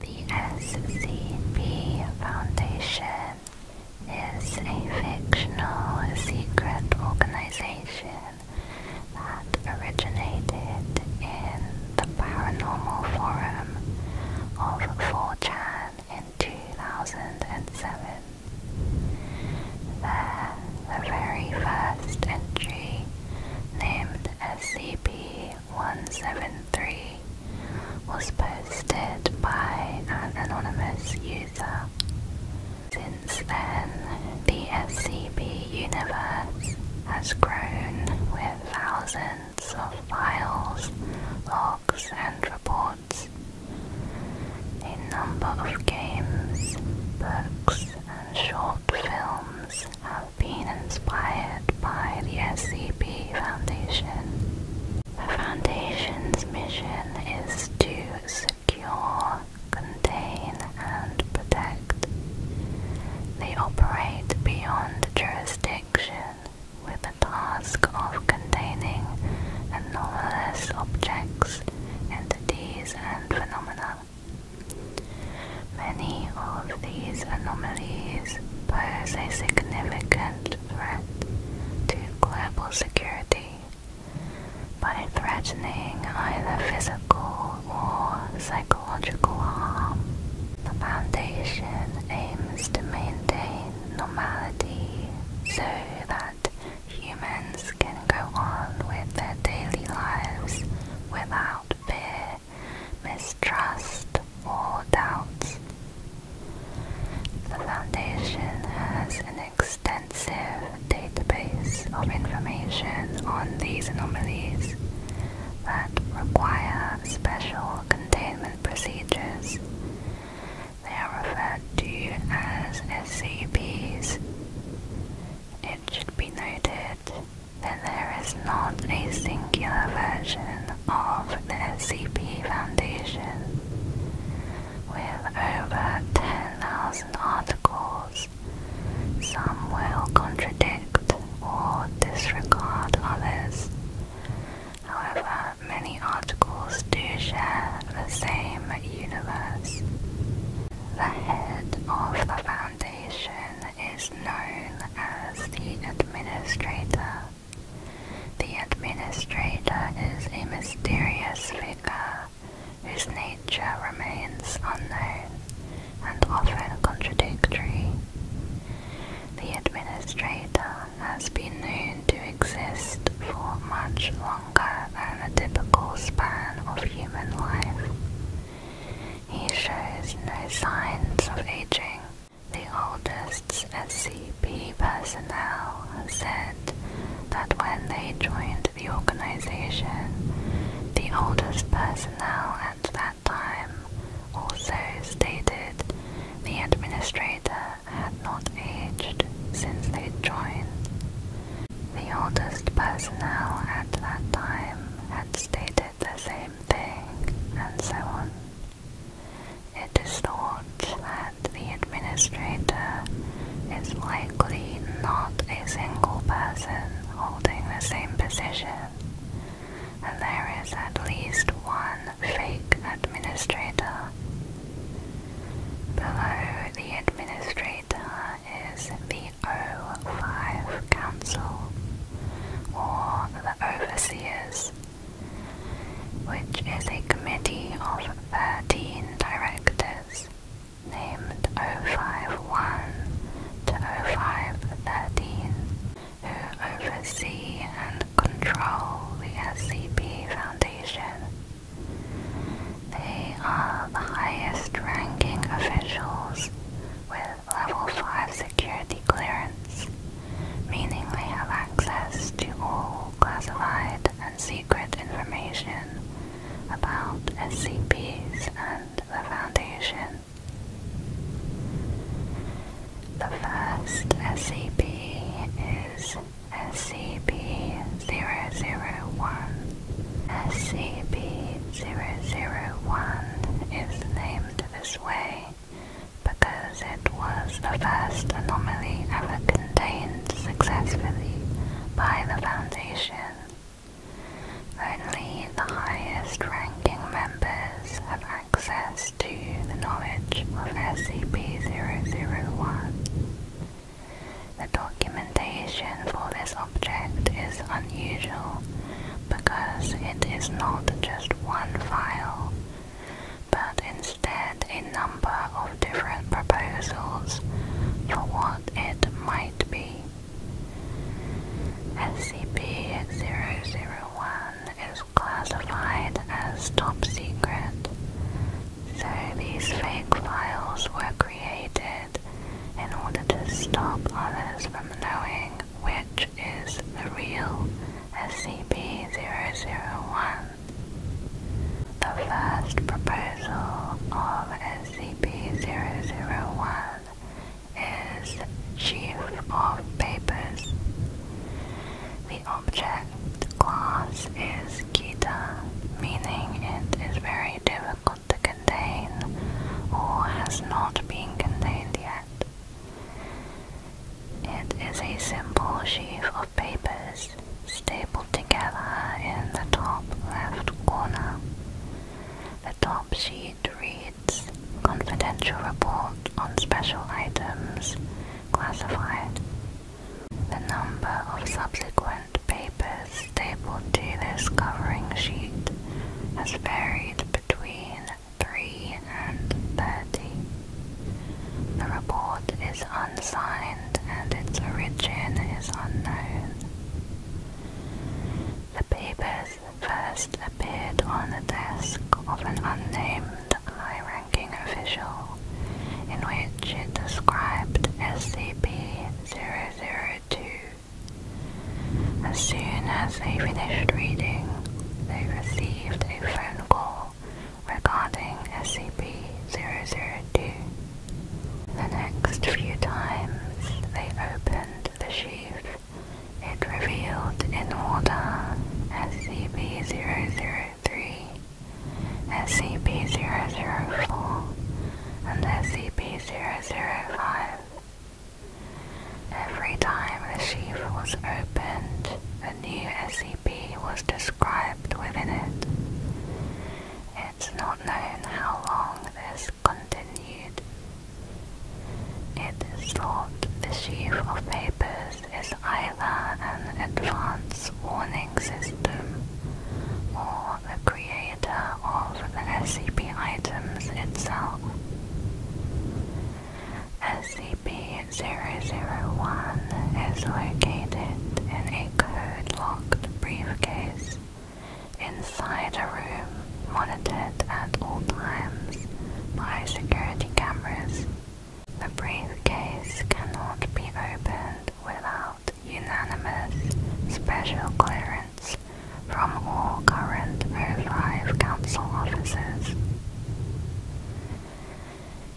The SCP Foundation is a fictional secret organization that originated in the paranormal forum of 4chan in 2007. There, the very first entry, named SCP 173 was posted by an anonymous user. Since then, the SCP universe has grown with thousands of files, logs, and reports. A number of games, books, and short films being inspired by the SCP Foundation. The Foundation's mission is to secure, contain, and protect. They operate beyond jurisdiction with the task of containing anomalous objects, entities, and phenomena. Many of these anomalies pose a significant threat to global security by threatening either physical or psychological harm. The Foundation aims to maintain normality so that humans can go on with their daily lives without fear mistrust, or doubts. The Foundation has an extensive database of information on these anomalies that require special containment procedures. They are referred to as SCPs. It should be noted that there is not a singular version of the SCP Foundation with over 10,000 articles. Some will contradict or disregard others. However, many articles do share the same universe. The head of the Foundation is known as the administrator. The administrator is a mysterious figure whose nature remains unknown and often contradictory. The administrator has been known to exist for much longer than the typical span of human life. He shows no signs of aging the oldest SCP personnel said that when they joined the organization, the oldest personnel at that time also stated the administrator had not aged since they joined. The oldest personnel at that time had stated the same thing, and so on. It is thought that the administrator is likely not a single person holding the same position, and there is at least one fake administrator. Below the administrator is the O5 Council, or the overseers, which is a committee of 13 directors named 051 to 0513 who oversee and control the SCP Foundation. They are the highest ranking officials with Level 5 security clearance, meaning they have access to all classified and secret information about SCPs and the Foundation. The first SCP is SCP-001. SCP-001 is named this way because it was the first anomaly ever contained successfully by the Foundation. Only the highest ranking members have access to the knowledge of SCP-001. The documentation for this object is unusual because it is not just one file but instead a number of different proposals for what it might be. SCP-001 is classified as top secret, so these fake files were created in order to stop others from knowing which is the real SCP-001. The first proposal of SCP-001 is chief of papers. The object class is Kita, meaning it is very difficult to contain or has not been contained yet. It is a simple sheaf of papers stapled together in the top left corner. The top sheet reads Confidential Report on Special Items Classified. The number of subsequent papers stapled to this covering sheet has varied between 3 and 30. The report is unsigned and its origin is unknown. The papers first appeared on the desk of an unnamed high-ranking official in which it described SCP-002. As soon as they finished reading, they received received a phone call regarding SCP-002. The next few times they opened the sheaf, it revealed in order SCP-003, SCP-004, and SCP-005. Every time the sheaf was opened, a new SCP was described within it. It's not known how long this continued. It is thought the sheaf of papers is either an advance warning system or the creator of the SCP items itself. SCP-001 is located in a code-locked briefcase inside a room monitored at all times by security cameras. The briefcase cannot be opened without unanimous special clearance from all current O5 council officers.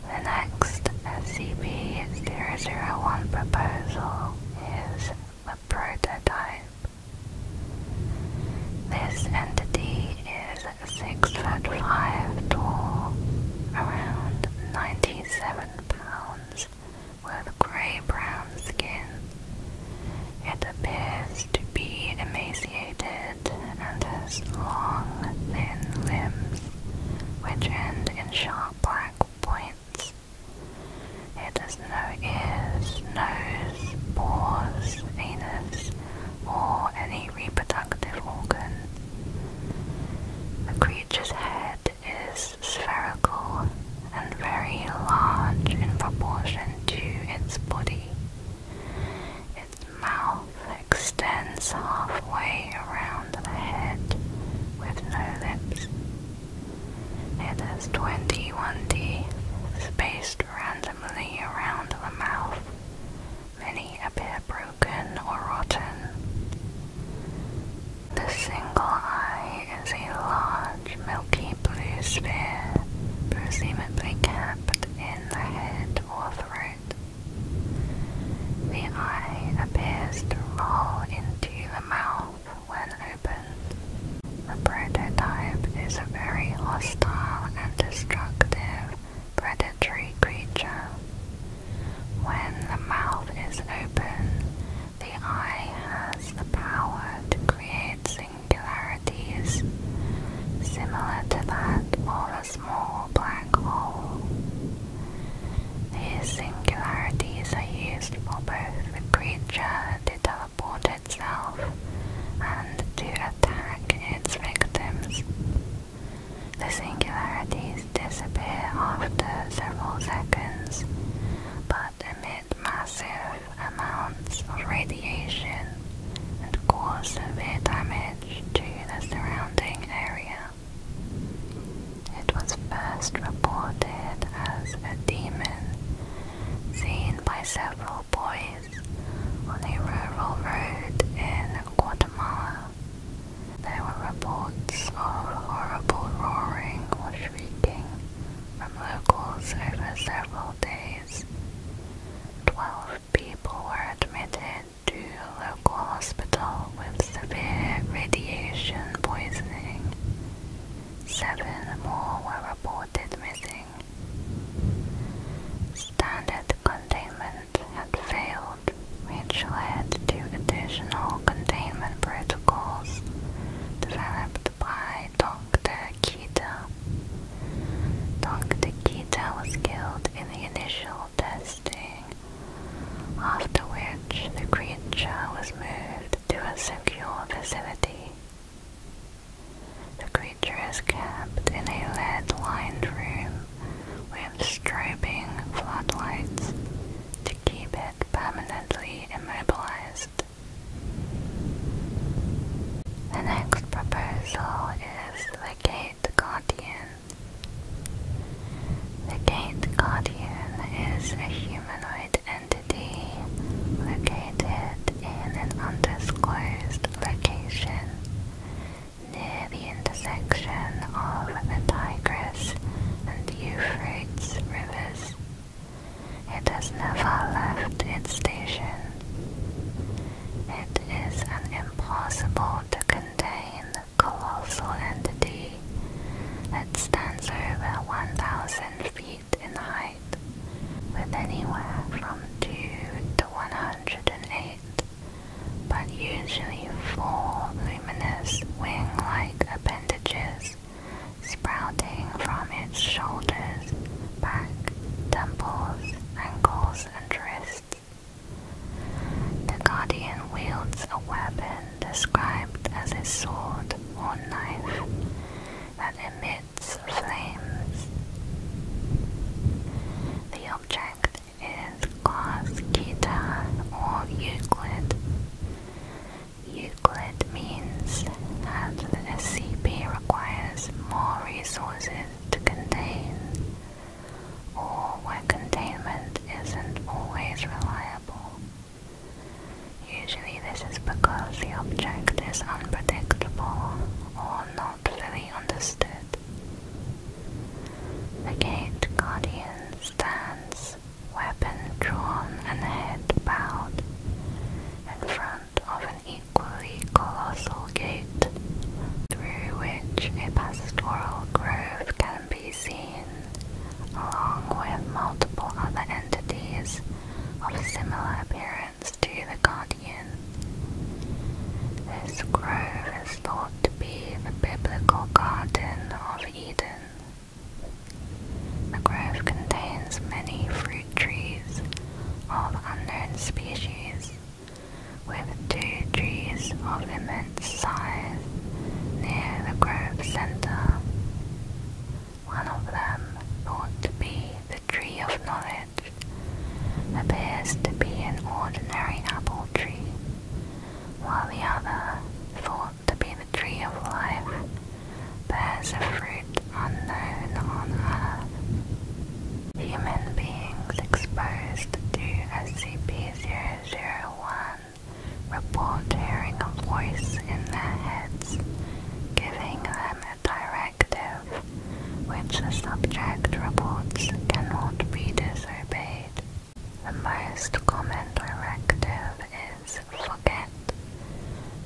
The next SCP-001 proposal is a prototype. This entity is 6 foot 5 tall, around 97 pounds, with grey-brown skin. It appears to be emaciated and has long, thin limbs which end in sharp black points. It has no ears, nose, pores, anus, or any reproductive organ. The creature's head is spherical and very large in proportion to its body mouth extends halfway around the head with no lips. It has 21 teeth spaced randomly around the mouth. Many a bit broken or rotten. The single eye is a large milky blue sphere, presumably capped in the head or throat. The eye appears to roll into the mouth when opened. The prototype is a very hostile and destructive predatory creature. When the mouth is open, the eye has the power to create singularities similar to that of a small black hole. These singularities are used for both the creature to teleport itself and to attack its victims. The singularities disappear after several seconds but emit massive amounts of radio and cause severe damage to the surrounding area. It was first reported as a demon seen by several boys on a rural road in Guatemala. There were reports of horrible roaring or shrieking from locals over several days. Twelve people were admitted to a local hospital with severe radiation poisoning. Seven more were reported missing. Standard containment had failed, which led to additional containment protocols developed by Dr. Kita. Dr. Kita was killed in the initial testing, after which the creature was moved to a secure facility. The creature is kept in a lead-lined room with strobing floodlights to keep it permanently immobilized. The next proposal is the game Gate Guardian. The Gate Guardian is a humanoid entity located in an undisclosed location near the intersection of the Tigris and Euphrates rivers. It has never left its station. It is an impossible to contain the colossal entity that stands over 1,000 feet in height, with anywhere from 2 to 108, but usually four luminous wing-like appendages sprouting from its shoulders, back, temples, ankles, and wrists. The Guardian wields a weapon described as a sword or knife that emits flames. The object is glass guitar or Euclid. Euclid means that the SCP requires more resources to contain or where containment isn't always reliable. Usually this is because the object is unpredictable or not fully understood. The gate guardian stands, weapon drawn and head bowed, in front of an equally colossal Gate, through which a pastoral grove can be seen, along with multiple other entities of similar appearance to the Guardian. This grove is thought to be the biblical Garden of Eden. The grove contains many fruit trees of unknown species, with two trees of immense size near the grove centre. One of them, thought to be the tree of knowledge, appears to be an ordinary apple tree, while the other, thought to be the tree of life, bears a fruit unknown on earth. Human beings exposed to SCP-001 report hearing a voice in their heads, giving them a directive which the subject reports cannot be disobeyed. The most common directive is forget,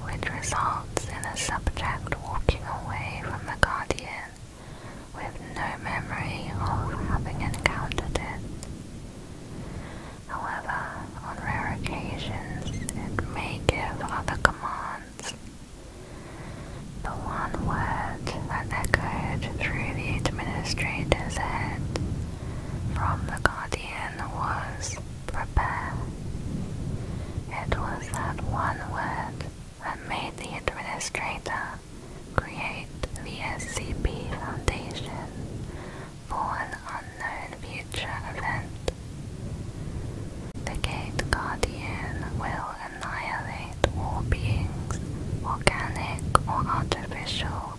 which results in a subject walking away from the guardian with no memory of having encountered it. However, on rare occasions it may give other commands. The one word that echoed through the administrator's head from the Guardian was prepare. It was that one word that made the administrator create the SCP Foundation for an unknown future event. The Gate Guardian will annihilate all beings, organic or artificial,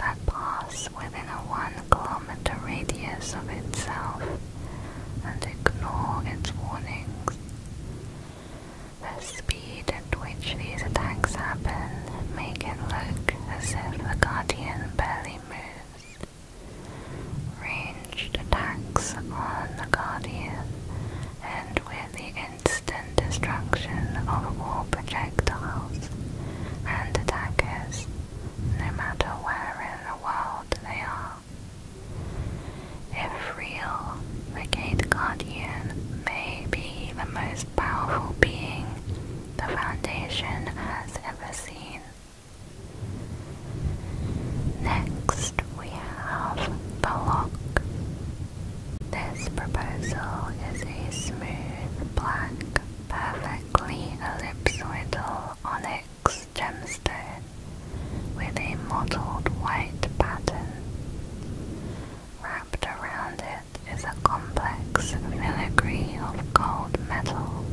that pass within a one kilometer radius of itself and ignore its warnings. The speed at which these attacks happen make it look as if the Guardian barely moves. Ranged attacks on the Guardian end with the instant destruction of all projectiles and attackers, no matter where in the world they are. If real, the Gate Guardian may be the most powerful being the Foundation has ever seen. Next, we have the lock. This proposal is a smooth, black, perfectly ellipsoidal onyx gemstone with a mottled white pattern. Wrapped around it is a complex filigree of gold metal.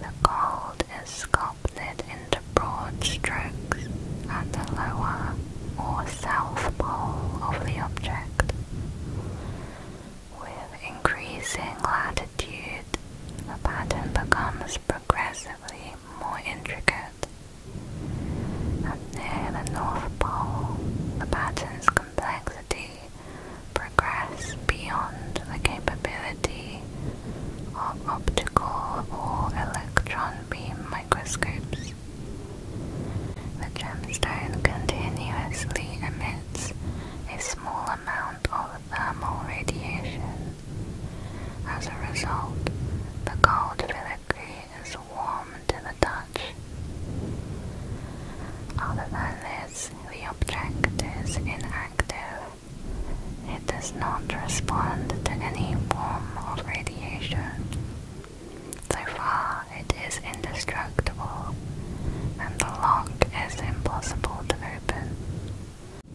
The gold is sculpted into broad strokes at the lower or south pole of the object. With increasing latitude, the pattern becomes progressively more intricate. near the North Pole, the pattern's complexity progressed beyond the capability of optical or electron beam microscopes. The gemstone continuously emits a small amount of thermal radiation. As a result, the gold fillet degree warm to the touch. Other the object is inactive. It does not respond to any form of radiation. So far, it is indestructible, and the lock is impossible to open.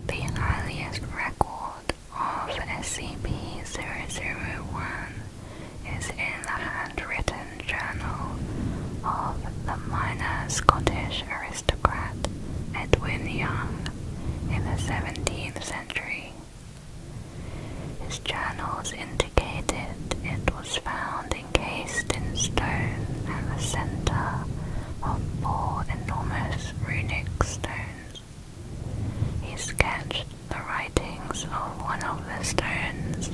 The earliest record of SCP-001 is in the handwritten journal of the minor Scottish aristocrat Edwin Young in the 17th century. His journals indicated it was found encased in stone at the center of four enormous runic stones. He sketched the writings of one of the stones,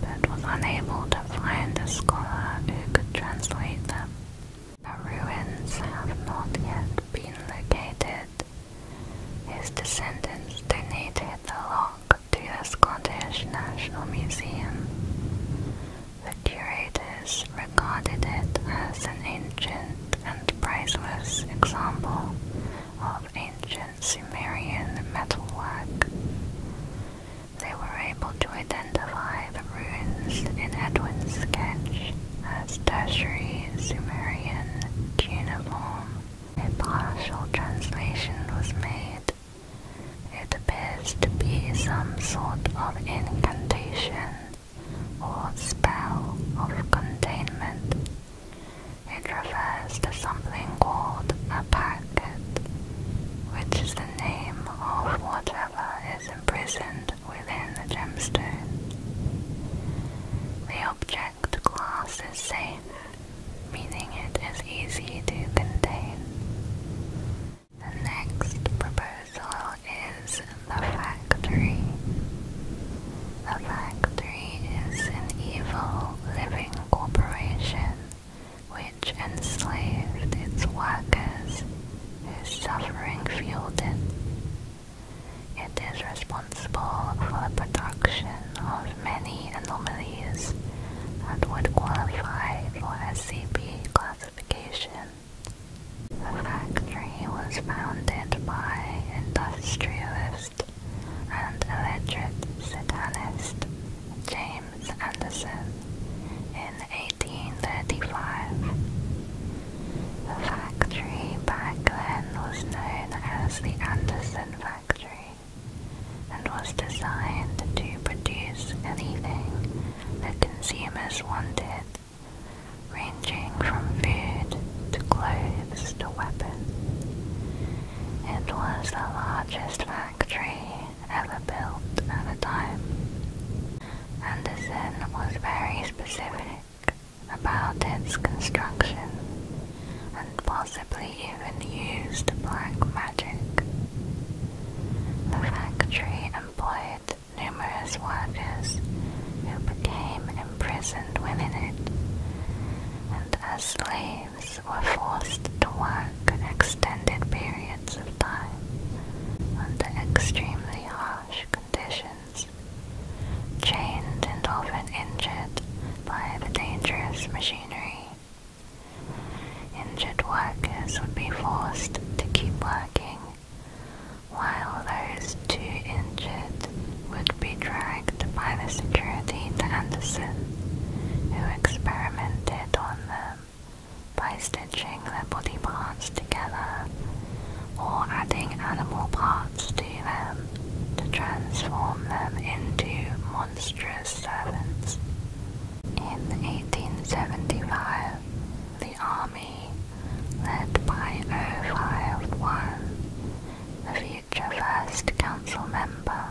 but was unable to find a scholar who could translate them. The ruins have not yet been located. His descendants donated the log to the Scottish National Museum. The curators regarded it as an ancient and priceless example of ancient Sumerian metalwork. They were able to identify the ruins in Edwin's sketch as tertiary Sumerian cuneiform. A partial translation was made. It appears to be some sort of incantation or spell of containment. It refers to something called a packet, which is the name of whatever is imprisoned within the gemstone. The object class is safe, meaning it is easy to contain. The next proposal is the factory. The factory is an evil living corporation which enslaved its workers whose suffering fueled it. It is responsible for the production of many anomalies that would qualify for SCP classification. The factory Missouri was founded by industrialist and illiterate satanist James Anderson in 1835. The factory back then was known as the Anderson Factory and was designed to produce anything the consumers wanted ranging from food to clothes to weapons. It was the largest factory ever built at the time. Anderson was very specific about its construction and possibly even used black magic. The factory employed numerous workers who became imprisoned within it, and as slaves were forced to work extended periods of time under extremely harsh conditions, chained and often injured by the dangerous machinery. Injured workers would be forced to keep working while those two injured would be dragged by the security to Anderson, who experimented on them by stitching their body parts together or adding animal parts to them to transform them into monstrous servants. In 1875, the army, led by 051, a future First Council member,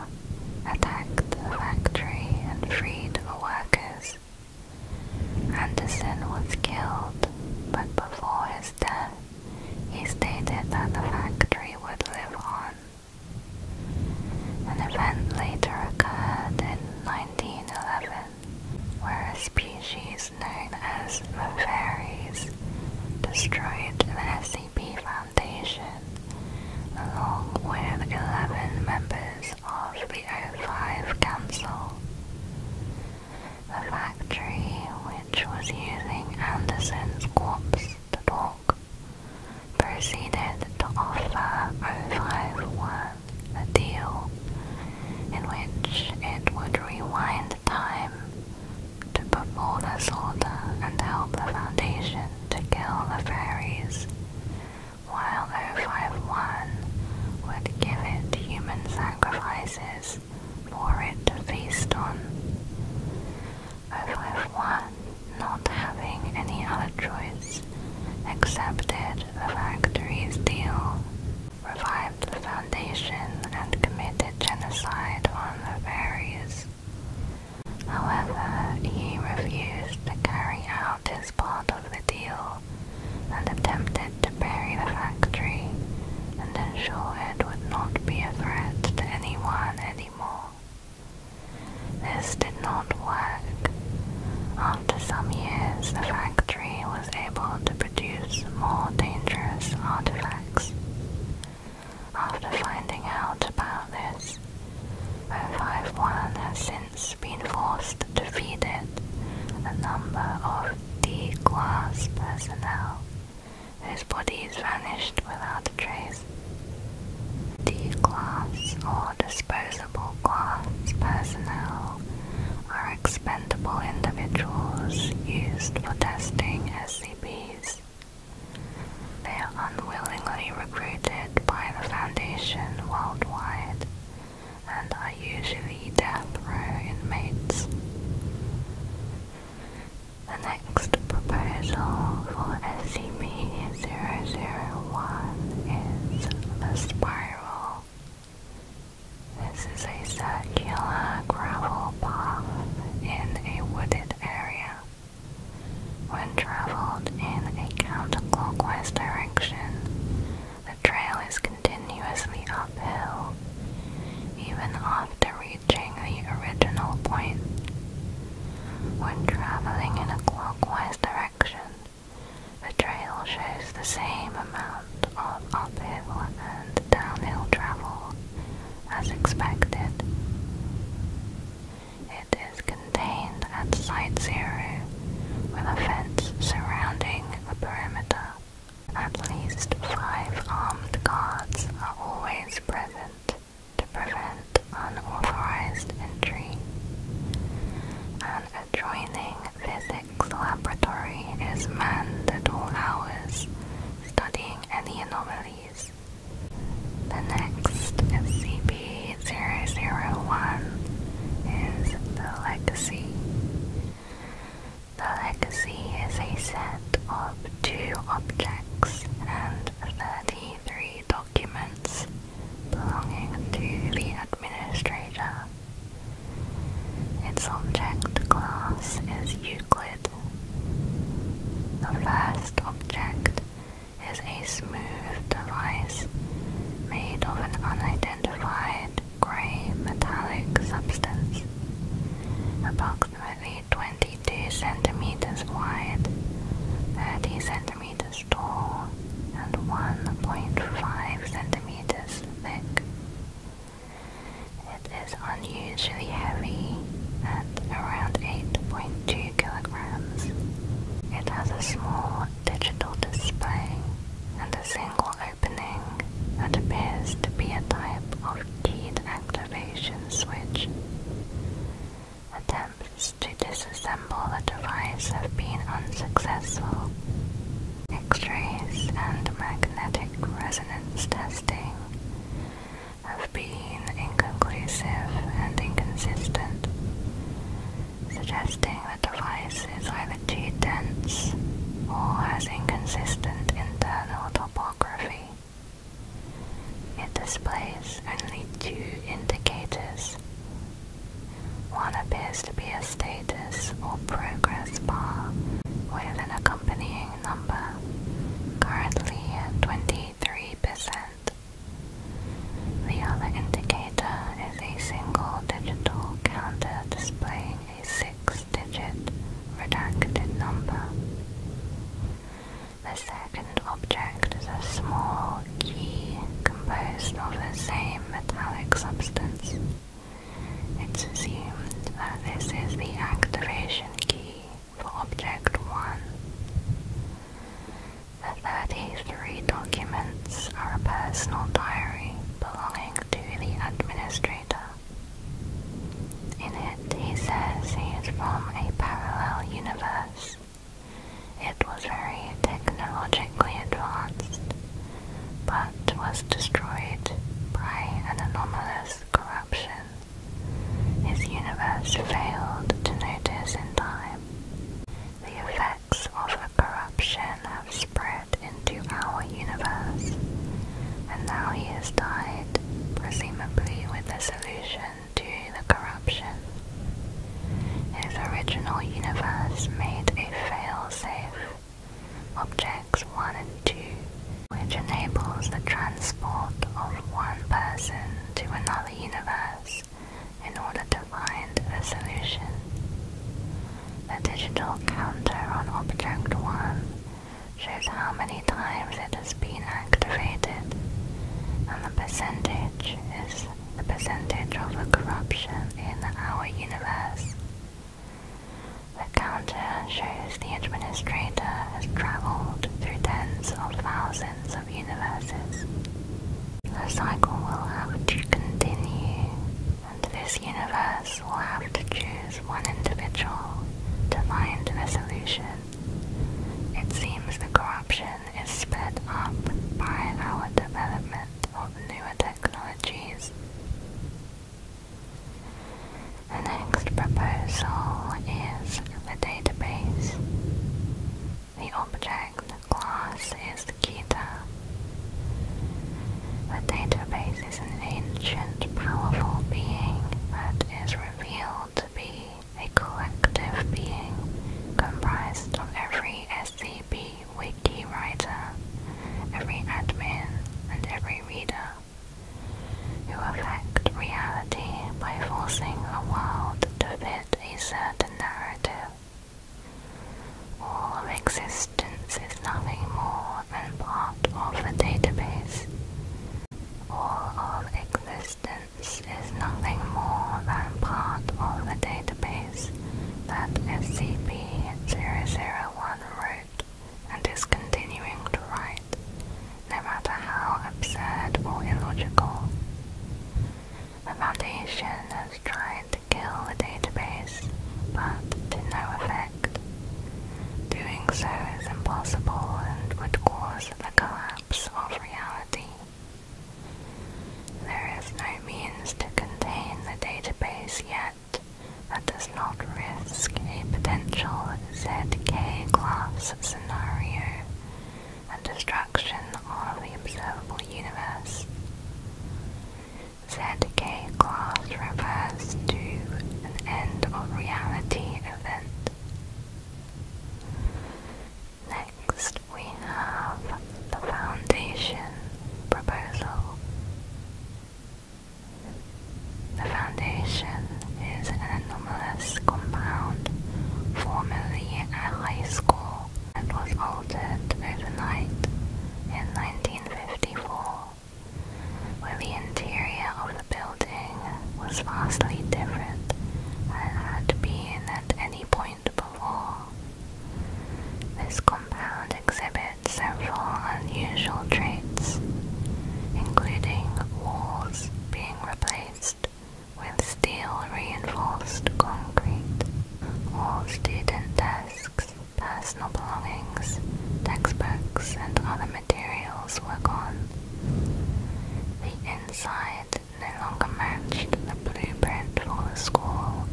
attacked the factory and freed the workers. Anderson was killed, but before his death, he stated that the factory would live on. An event later occurred in 1911 where a species known as the Fairies destroyed the SCP Foundation, along with 11 members of the O5 Council. The factory, which was using Anderson's corpse to talk, proceeded to offer 051 a deal in which it would rewind time to perform this order and help the Foundation to kill the fairies, while 051 would give it human sacrifices for it to feast on. 051, not having any other choice, accepted the factory's deal revived the foundation and committed genocide on the Faroes. However, he refused to carry out his part of the deal and attempted to bury the factory and ensure it would not be a threat to anyone anymore. This did not work. After some years, the factory was able to produce more dangerous artifacts. After finding out about this, 051 has since been forced to feed it a number of D-class personnel whose bodies vanished without a trace. D-class or disposable class personnel are expendable individuals used for testing as Bees. They are unwillingly recruited by the Foundation worldwide and are usually death row inmates. The next proposal for S C M one is the Spiral. This is a circular gravel path in a wooded area. When traveled in a counterclockwise direction, the trail is continuously uphill, even after reaching the original point. When traveling in a clockwise direction, the trail shows the same amount of uphill and downhill travel as expected. It is contained at Site Zero, with a fence surrounding the perimeter. At least five armed guards are always present to prevent unauthorized entry. An adjoining physics laboratory is manned at all hours, studying detecting any anomalies. The next SCP-001 is the Legacy. The Legacy is a set of two objects and 33 documents belonging to the administrator. Its object class is Euclid. The first object is a smooth device made of an unidentified grey metallic substance, approximately 22 centimeters wide, 30 centimeters tall, and 1.5 centimeters thick. It is unusually heavy at around 8.2 kilograms. It has a small digital display and a single opening that appears to be a type of keyed activation switch. Attempts to disassemble the device have been unsuccessful. X-rays and magnetic resonance testing have been inconclusive and inconsistent, suggesting the device is either too dense or has inconsistent internal topography. It displays only two indicators. One appears to be a status or progress bar with an accompanying number, currently at 23%. The other indicator is a single digital counter displaying a six-digit redacted number. The second object is a small key composed of the same metallic substance. It's assumed that this is the activation key for Object 1. The 33 documents are a personal diary belonging to the administrator. In it, he says he is from a parallel universe. It was very technologically advanced, but was destroyed by an anomalous corruption his universe failed to notice in time. The effects of the corruption have spread into our universe, and now he has died, presumably with a solution to the corruption. His original universe made a failsafe object 1 and 2, which enables the transport of one person to another universe in order to find a solution. The digital counter on Object 1 shows how many times it has been activated, and the percentage is the percentage of the corruption in our universe. The counter uh, shows the administrator has traveled through tens of thousands of universes. The cycle will have to continue, and this universe will have to choose one individual to find the solution. It seems the corruption is sped up by our development of newer technologies. The next proposal is the database. The object class is the Gita. The database is an ancient, powerful being that is revealed to be a collective being comprised of every SCP wiki writer, every admin, and every reader who affect reality by forcing a world to fit a certain narrative. All of existence is nothing more than part of the database. All of existence is nothing more than part of the database that SCP-001 wrote and is continuing to write, no matter how absurd or illogical. The Foundation is trying to kill the database, but to no effect. Doing so is impossible and would cause the collapse of reality. There is no means to contain the database yet that does not risk a potential ZK class scenario and destruction of the observable universe. ZK class refers to an end of reality event. Next, we have the Foundation Proposal. The foundation is an anomalous compound formerly a high school and was altered overnight in 1954, where the interior of the building was vastly different than it had been at any point before. This compound exhibits several unusual traits, including walls being replaced with steel reinforced concrete. All student desks, personal belongings, textbooks, and other materials were gone. The inside no longer matched the blueprint for the school.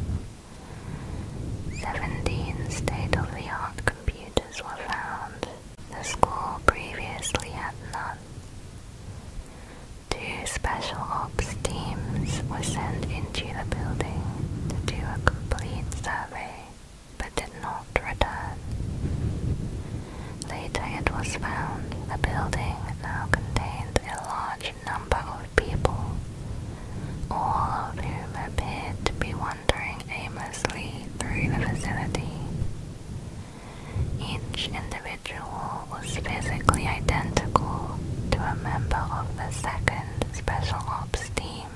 Seventeen state of the art computers were found the school previously had none. Two special ops teams were sent into the building to do a complete survey, but did not return. Later it was found the building now contained a large number of people, all of whom appeared to be wandering aimlessly through the vicinity. Each individual was physically identical to a member of the second Special Ops team,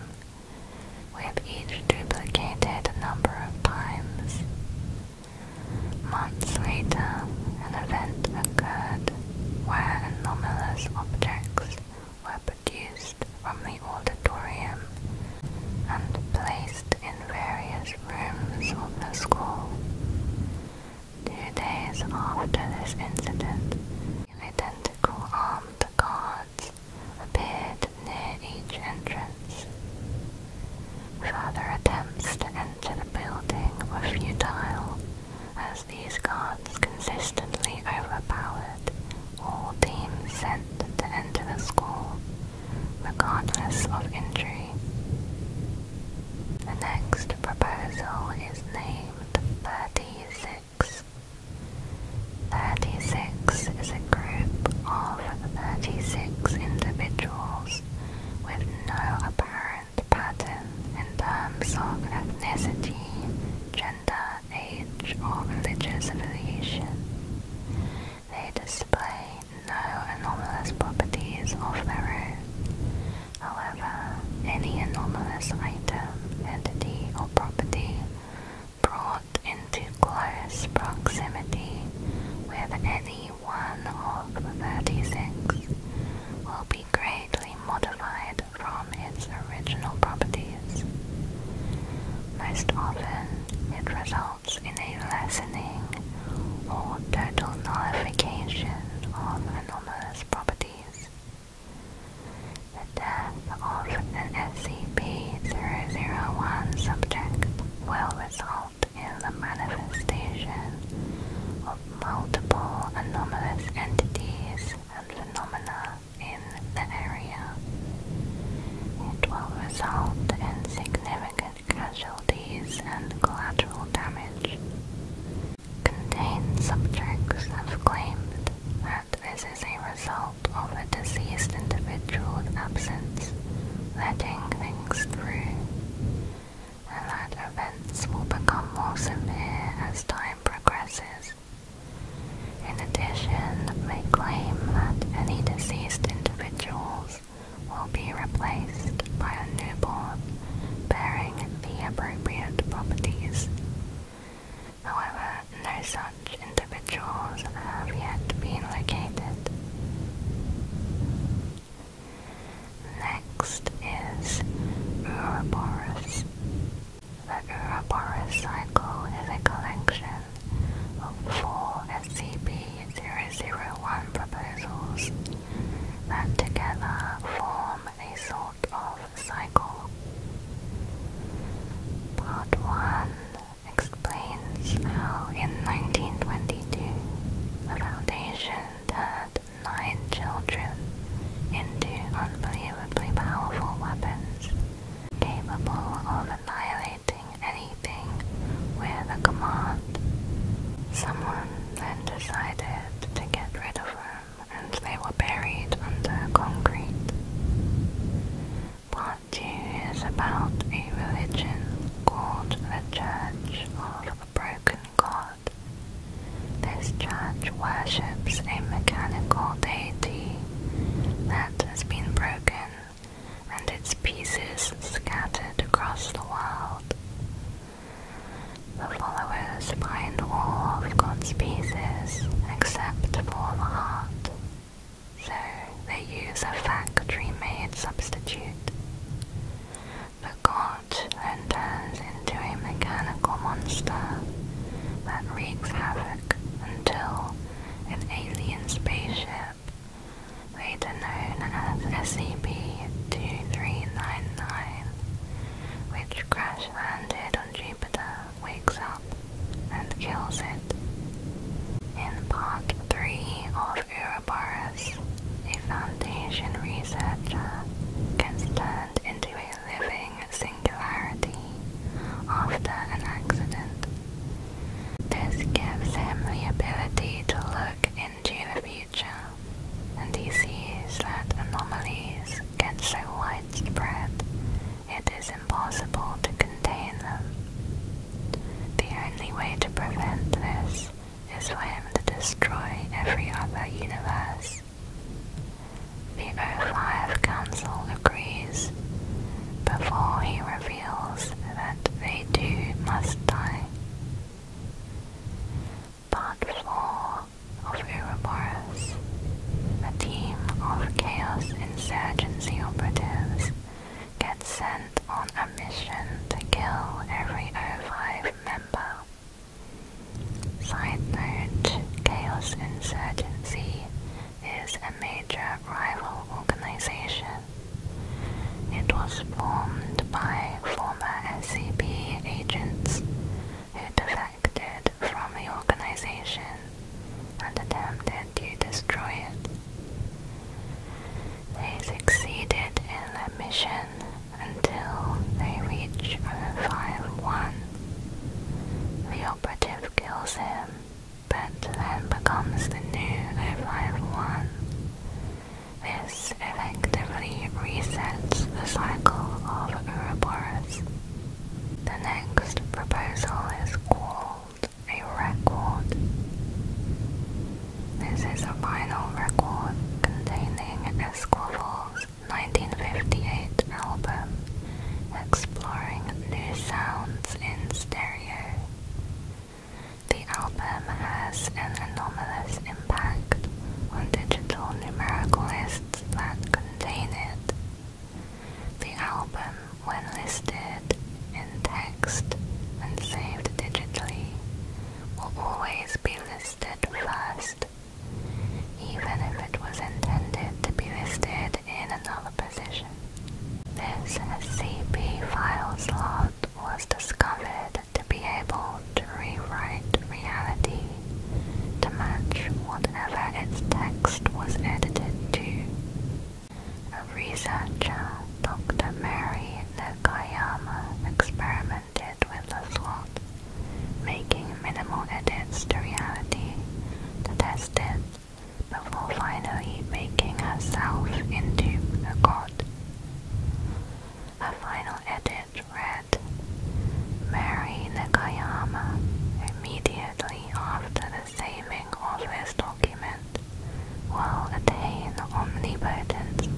with each duplicated a number of times. Months later, an event occurred where anomalous objects were produced from the Order auditorium and placed in various rooms of the school. Two days after this incident, identical armed guards appeared near each entrance. Further attempts to enter the building were futile, as these guards consistently overpowered all teams sent to enter the school regardless of injury. The next proposal is named 36. 36 is a group of 36 individuals with no apparent pattern in terms of ethnicity, gender, age, or religious affiliation. They display no anomalous properties of their own. However, any anomalous item, entity, or property brought into close proximity with any one of the 36 will be greatly modified from its original properties. Most often, it results in a lessening or total nullification of anomalous properties. The death of SCP-001 subject will result in the manifestation of multiple anomalous entities and phenomena in the area. It will result in significant casualties and collateral damage, contain subjects have claimed that this is a result of a deceased individual's absence, letting things through, and that events will become more severe as time progresses. In addition, they claim that any deceased individuals will be replaced by a newborn bearing the appropriate properties. However, no such individuals have yet been located. Next is Ouroboros. The Ouroboros cycle is a collection of four SCP-001 proposals that together form a sort of cycle. Part 1 explains how in 1922 the Foundation turned nine children into unbelievably powerful weapons capable of annihilating anything with a command. Someone then decided to get rid of them and they were buried under concrete. Part 2 is about a religion called the Church of Broken God. This church worships a mechanical deity that has been broken and its pieces scattered across the world. The followers find all of God's pieces except for the heart, so they use a factory-made substitute. The god then turns into a mechanical monster that wreaks havoc until an alien spaceship ship, later known as SCP-2399, which crash-landed on Jupiter, wakes up and kills it. In Part 3 of Ouroboros, a Foundation researcher gets turned into a living singularity after an accident this gives him the ability to look into the future, and he sees that anomalies get so widespread it is impossible to contain them. The only way to prevent this is for him to destroy every other universe. The O5 Council agrees. Before he reveals feels that they do must die. Part 4 of Ouroboros. A team of Chaos Insurgency operatives gets sent on a mission to kill every O5 member. Side note, Chaos Insurgency is a major rival organization. It was formed by former SCP agents who defected from the organization and attempted to destroy it. They succeeded in their mission until they reach one. The operative kills him but then becomes the new 051. This effectively resets the cycle of Ouroboros. The next proposal is called a record. This is a final record containing Esquivel's 1958 album exploring new sounds in stereo. The album has an anomalous impact on digital numerical lists that contain it. The album, when listed in text and saved digitally, will always be listed first, even if it was intended to be listed in another position. This is a CP file slot was discovered to be able to rewrite reality to match whatever its text was edited to. A researcher, Dr. Mary Nakayama, experimented with the slot, making minimal edits to reality to test it before finally making herself into a god. A final edit read Mary Nakayama immediately after the saving of this document will attain omnipotence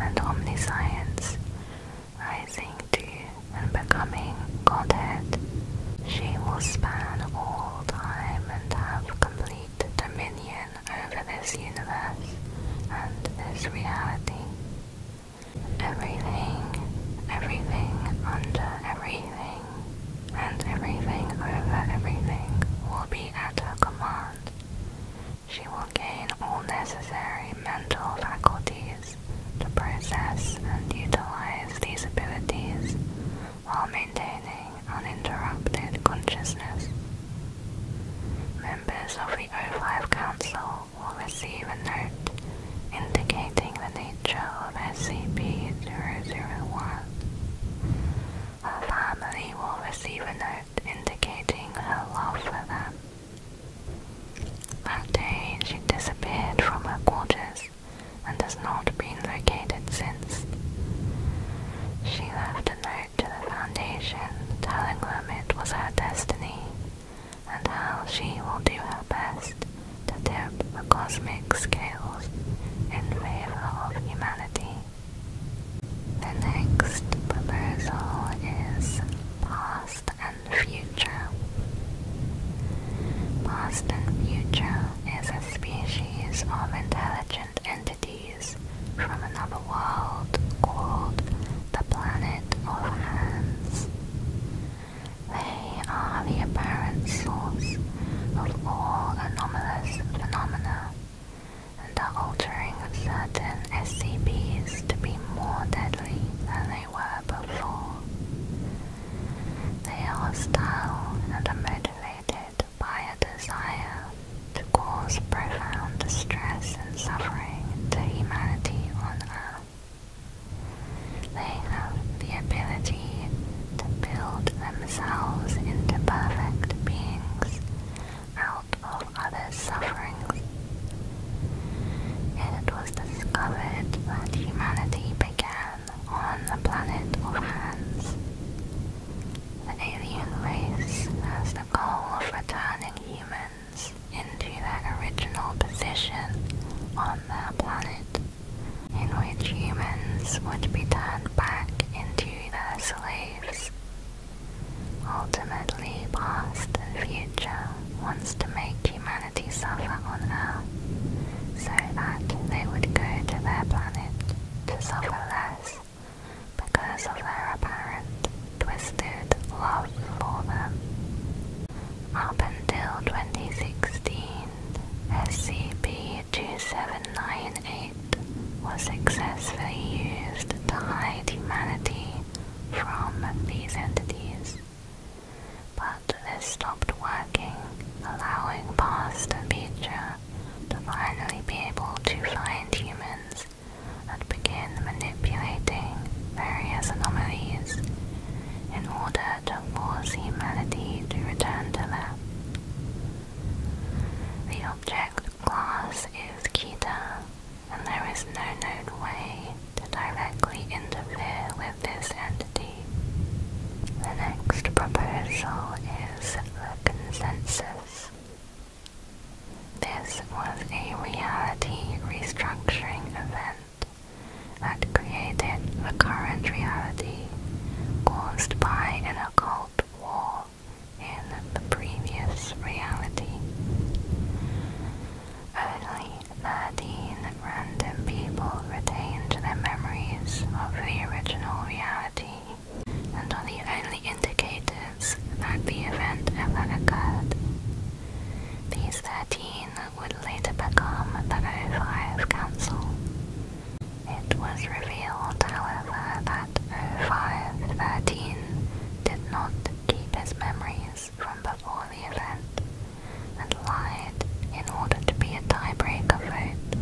and omniscience, rising to and becoming Godhead. She will span all time and have complete dominion over this universe and this reality. Everything, everything under everything, and everything over everything will be at her command. She will gain all necessary mental faculties to process and utilize these abilities while maintaining uninterrupted consciousness. Members of the O5 Council will receive a note indicating the nature of SCP-001. Her family will receive a note indicating her love for them. That day, she disappeared from her quarters and has not been located since. She left a note to the Foundation telling them it was her destiny and how she will do her best to tip the cosmic scales in favor of humanity. The next proposal is Past and Future. Past and Future is a species of intelligence entities from another world called the Planet of Hands. They are the apparent source of all anomalous phenomena and are altering certain SCPs to be more deadly than they were before. They are hostile and are motivated by a desire to cause profound distress and suffering to humanity on earth. They have the ability to build themselves into perfect beings out of others' sufferings. It was discovered that humanity began on the planet of Hands. The alien race has the goal of returning humans into that original position on that planet, in which humans would be turned back into their slaves. Ultimately, past and future wants to make humanity suffer on Earth so that they would go to their planet to suffer less because of their apparent twisted love for them. Up until 2016, SCP-2798 was successfully used to hide humanity from these entities, but this stopped working, allowing past and future to finally be able to find humans and begin manipulating various anomalies in order to force humanity to return to them. The object class is Kita, and there is no known way to directly interfere with this entity. The next proposal is the consensus. This was a reality restructuring event that created a current reality caused by an occult war in the previous reality. Only 13 random people retained their memories of the original reality and are the only indicators that the event ever occurred. These 13 would later become the O5 Council. It was revealed, however, that 0 5 thirteen did not keep his memories from before the event and lied in order to be a tiebreaker vote,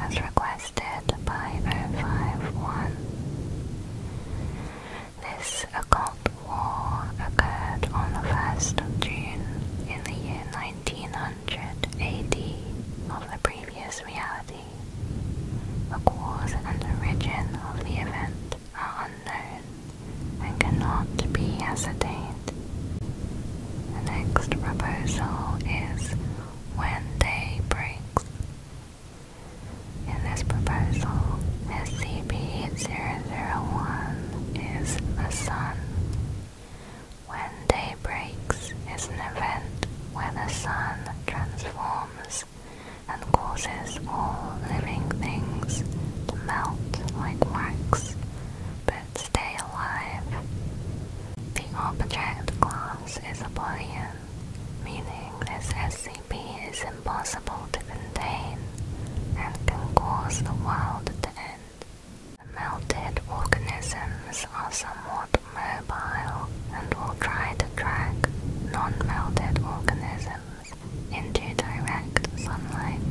as required requested oh This occult war occurred on the 1st of June in the year 1900 AD of the previous reality. The cause and origin of the event are unknown and cannot be ascertained. The next proposal is when day breaks, in this proposal, SCP-001 is the sun. When day breaks is an event where the sun transforms and causes all living things to melt like wax but stay alive. The object class is a Boolean meaning this SCP is impossible to contain and can cause the world to end. melted organisms are somewhat mobile and will try to drag non-melted organisms into direct sunlight.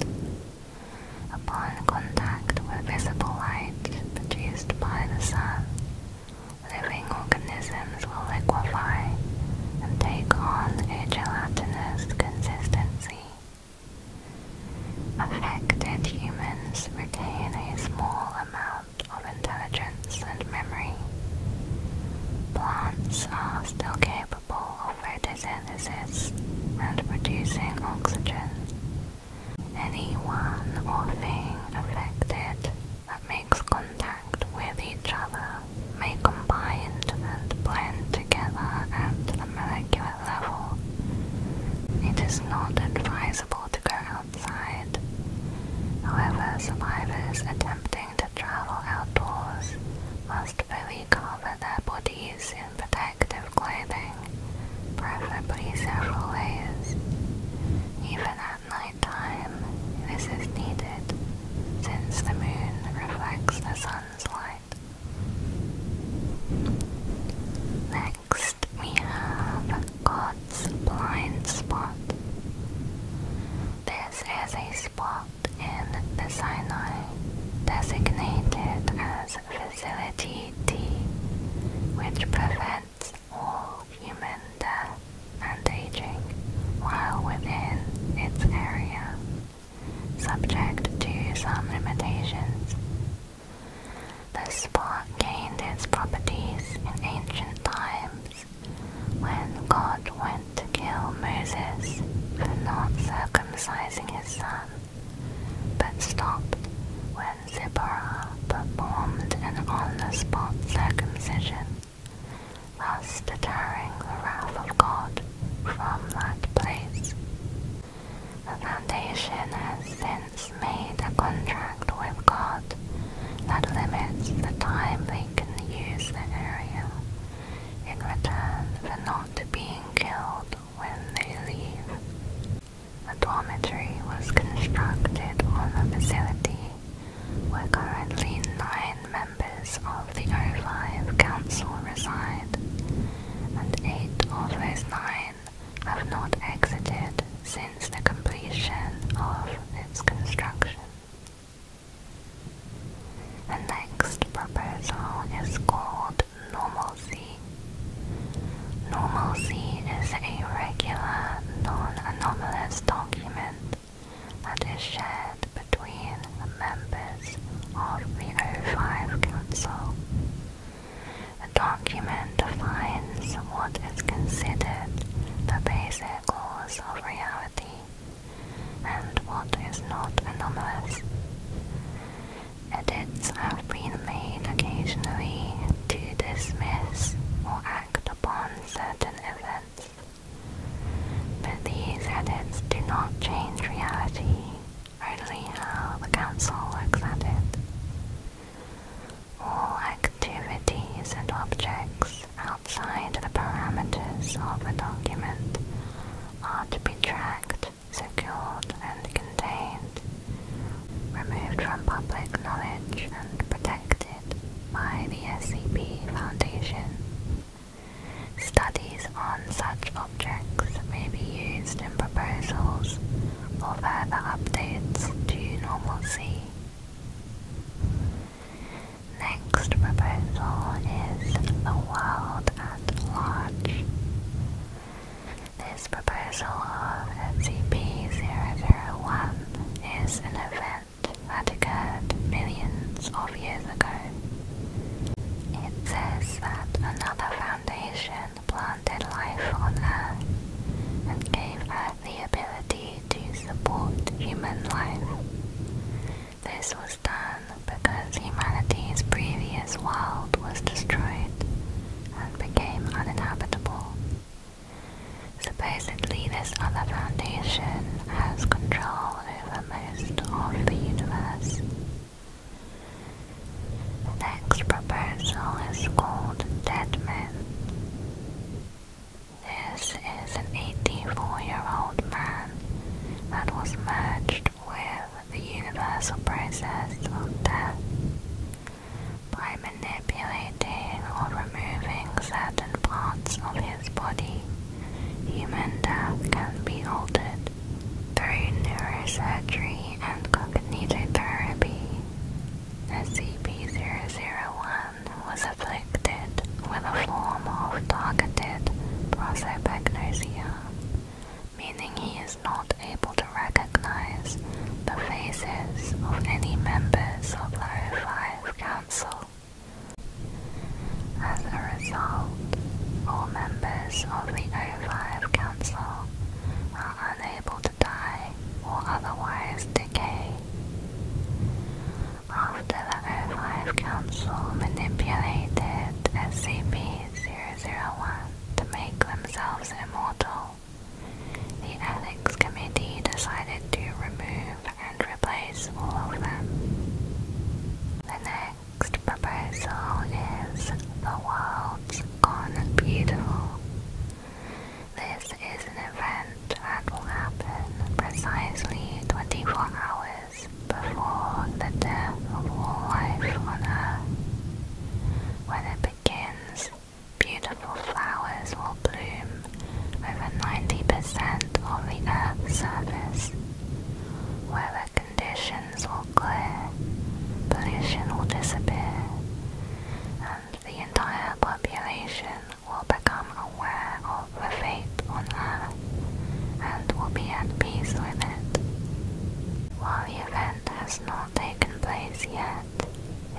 Upon contact with visible light produced by the sun, living organisms will liquefy and take on a gelatinous consistency. Affected humans retain a small amount of intelligence and memory. Plants are still capable of photosynthesis and producing oxygen. Any or thing affected that makes contact with each other may combine and blend together at the molecular level. It is not advisable to go outside. However, survivors attempting to travel outdoors must fully cover their bodies in protective clothing, preferably several layers. Even at this is needed since the moon reflects the sun's light. Next, we have God's blind spot. This is a spot in the Sinai designated as Facility D, which prevents all human death and aging while within its area, subject to some limitations. The spot gained its properties in ancient times when God went to kill Moses for not circumcising his son, but stopped when Zipporah performed an on-the-spot circumcision thus deterring the wrath of God from that place. The Foundation has since made a contract with God that limits the time they can use the area in return for not being killed when they leave. a dormitory was constructed on the facility currently nine members of the O5 Council reside, and eight of those nine have not exited since the completion of its construction. The next proposal is called Normalcy. Normalcy is a regular, non-anomalous document that is shared between the members of the O5 Council. The document defines what is considered the basic laws of reality and what is not anomalous. Edits have been made occasionally to dismiss or act upon certain events but these edits do not change reality, only how the council looks at it. All activities and objects outside the parameters of the document are to be tracked, secured and contained, removed from public knowledge and protected by the SCP Foundation. Studies on such objects may be used in proposals for further updates to normalcy. Next proposal is the world at large. This proposal of SCP-001 is an event had occurred millions of years ago. It says that another foundation planted life on Earth and gave her the ability to support human life. This was done because humanity's previous world was destroyed and became uninhabitable. Supposedly, this other foundation has control over most of the universe. next proposal is called Dead Men. This is an 84 year old man that was merged with the universal process of death by manipulating or removing certain parts of his body, human death can be altered through neurosurgery and cognitive therapy. SCP-001 was afflicted with a form of targeted prosopagnosia, meaning he is not able to recognize the faces of any members of the O5 Council. As a result, all members of the O5 Council are unable to die or otherwise decay. After the O5 Council manipulated SCP-001 to make themselves immortal, the Ethics Committee decided to remove and replace all of them. The next proposal is the world's has beautiful. This is an event that will happen precisely 24 hours before the death of all life on Earth. When it begins, beautiful flowers will bloom over 90% of the Earth's surface. Weather conditions will clear, pollution will disappear, and the entire population will become aware of the fate on Earth and will be at peace with it. While the event has not taken place yet,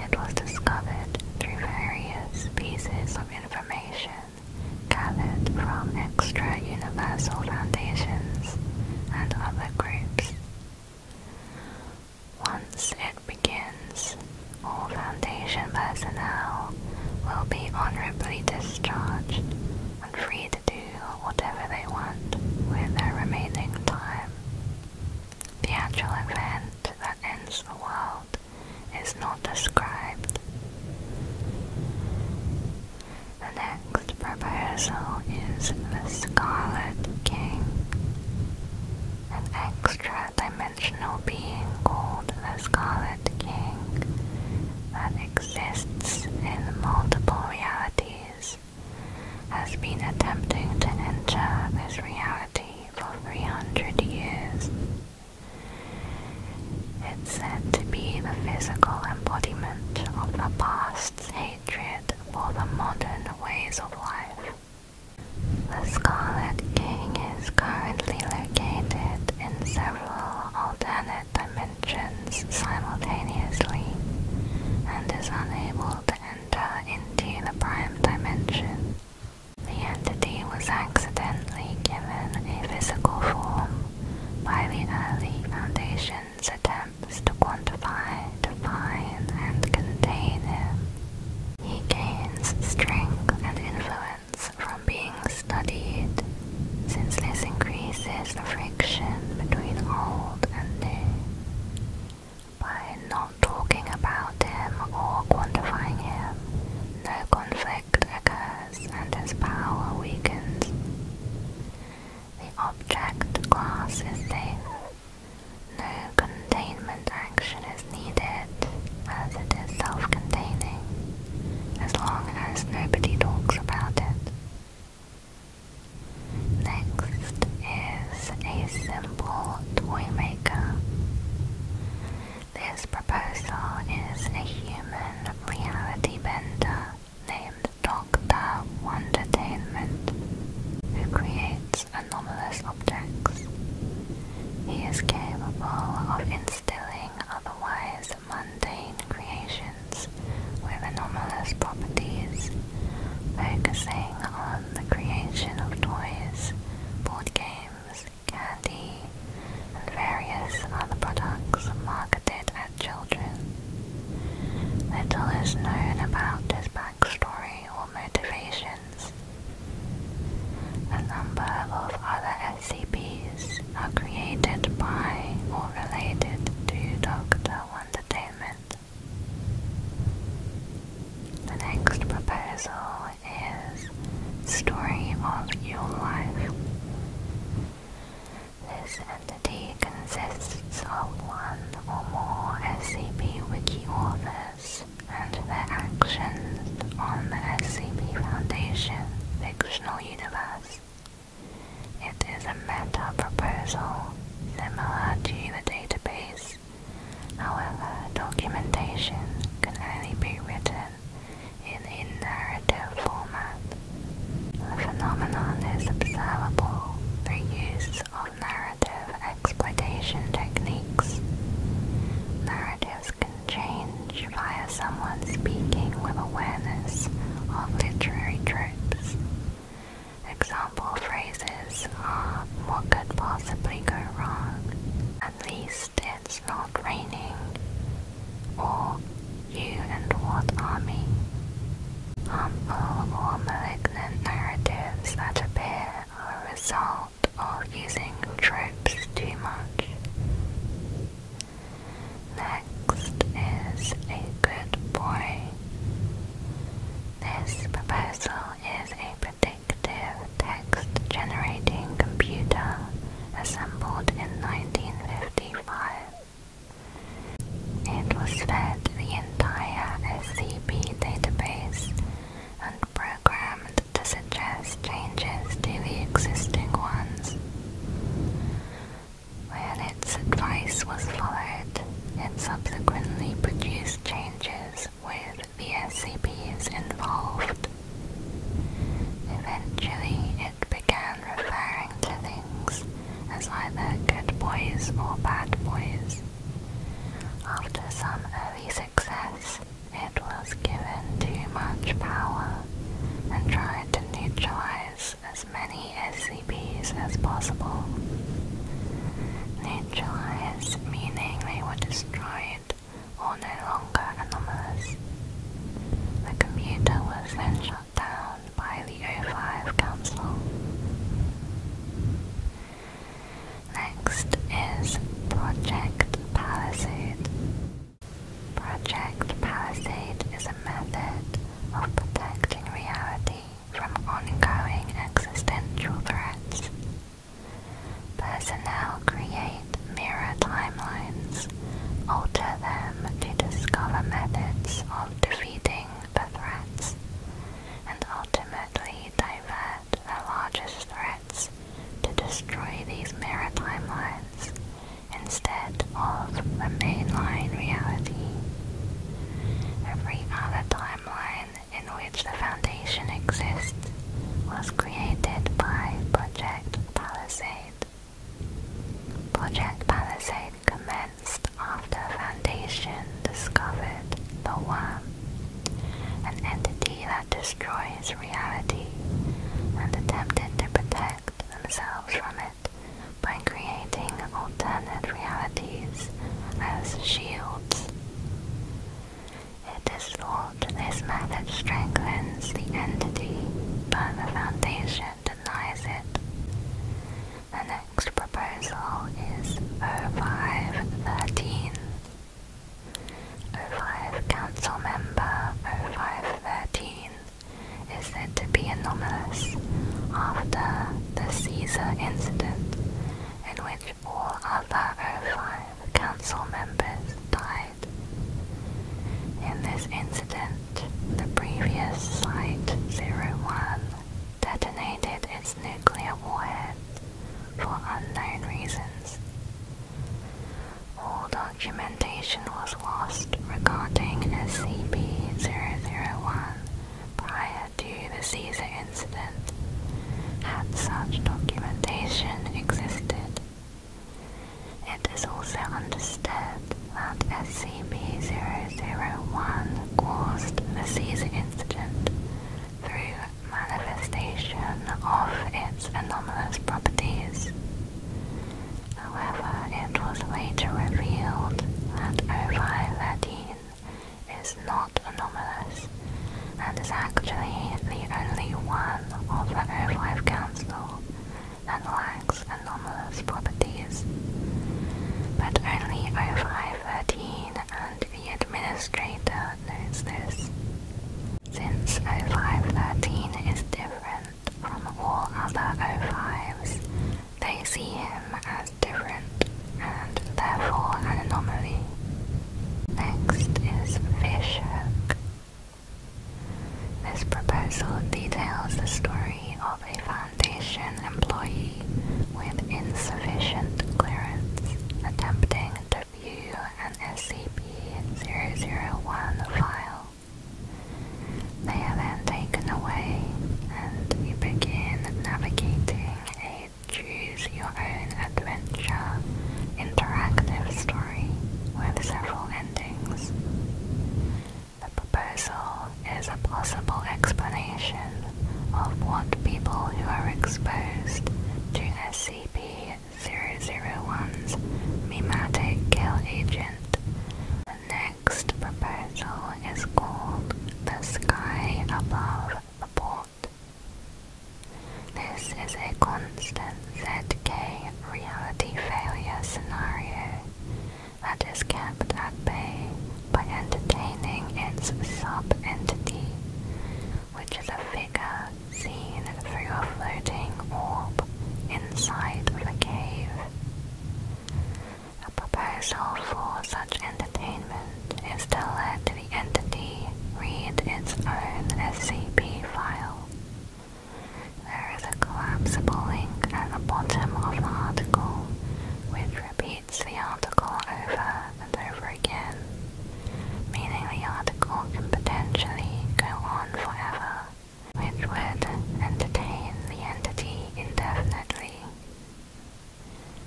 it was discovered through various pieces of information gathered from extra-universal foundations and other groups. Once it begins, all Foundation personnel will be honorably discharged and free to do whatever they want with their remaining time. The actual event that ends the world is not described. The next proposal is the Scarlet King, an extra-dimensional being called the Scarlet King that exists in multiple realities, has been attempting to enter this reality for 300 years. It's said to be the physical embodiment of the past's hatred for the modern ways of life. The Scarlet King is currently located in several alternate dimensions simultaneously and is unable to enter into the prime dimension the entity was accidentally given a physical form by the early Foundation's attempts to quantify, define, and contain him. He gains strength and influence from being studied, since this increases the friction between old and new. By not talking about him or quantifying him, no conflict occurs and its power weakens. The object class is safe. No containment action is needed as it is self-containing, as long as nobody talks about it. Next is a simple toy maker. This proposal is a human reality bender named Doctor Wondertainment who creates anomalous objects. He is capable of instilling otherwise mundane creations with anomalous properties, focusing on the creation of toys, board games, candy, and various other products marketed at children. Little is known about his backstory or motivations. A number of other SCPs are created by or related to Doctor Wondertainment. The next proposal is story of your life. This entity consists of one or more SCP Wiki authors and their actions on the SCP Foundation fictional universe. It is a meta proposal similar to the database. However, documentation can only be written in a narrative format. The phenomenon is observable through use of narrative exploitation techniques. Narratives can change via someone speaking with awareness of literary tropes. Example phrases are what could possibly go wrong, at least it's not raining. Or you and what army? Humble or malignant narratives that appear are a result of using tropes too much. Next is a good boy. This proposal is a predictive text-generating computer assembled in 1955. It was fed the entire SCP database and programmed to suggest changes to the existing ones. When its advice was followed, it subsequently produced changes with the SCPs involved. Eventually, it began referring to things as either good boys or bad boys. After some early success, it was given too much power and tried to neutralize as many SCPs as possible. Neutralized meaning they were destroyed or no longer anomalous. The computer was then shut down by the O5 Council. Next is Project Palisade. Project Palisade is a method of protecting reality from ongoing existential threats. Personnel create mirror timelines, alter them to discover methods of defeating the threats, and ultimately divert the largest threats to destroy these mirror timelines instead of the mainline reality. Every other timeline in which the Foundation exists was created by Project Project Palisade. Project Palisade commenced after Foundation discovered the One, an entity that destroys reality, and attempted to protect themselves from it by creating alternate realities as shields. It is thought this method strengthens the entity, but the Foundation denies it. The next proposal is 0513. 05 Council Member 0513 is said to be anomalous after the Caesar incident, in which all other 05 of council members died. In this incident, the previous Site 01 detonated its nuclear warhead for unknown reasons. All documentation was lost regarding SCP-001 prior to the Caesar incident, had such documentation existed. It is also understood that SCP-001 caused the seizure incident through manifestation of its anomalous properties. However, it was later revealed that O513 is not anomalous and is actually the only one of the O5 Council small lacks anomalous properties. But only O513 and the administrator knows this. Since O513 is different from all other O5s, they see him as different and therefore an anomaly. Next is Fishhook. This proposal details the story of a Foundation employee with insufficient clearance attempting to view an SCP-001 file. They are then taken away, and you begin navigating a choose-your-own-adventure interactive story with several the proposal is a possible explanation of what people who are exposed to SCP-001's mimetic kill agent. The next proposal is called The Sky Above the Port. This is a constant ZK reality failure scenario that is kept at bay by entertaining its sub-entity, which is a figure seen through a floating orb inside of a cave. A proposal for such entertainment is to let the entity read its own SCP file. There is a collapsible link at the bottom of the article which repeats the article over and over again, meaning the article can potentially go on forever, which would entertain the entity indefinitely.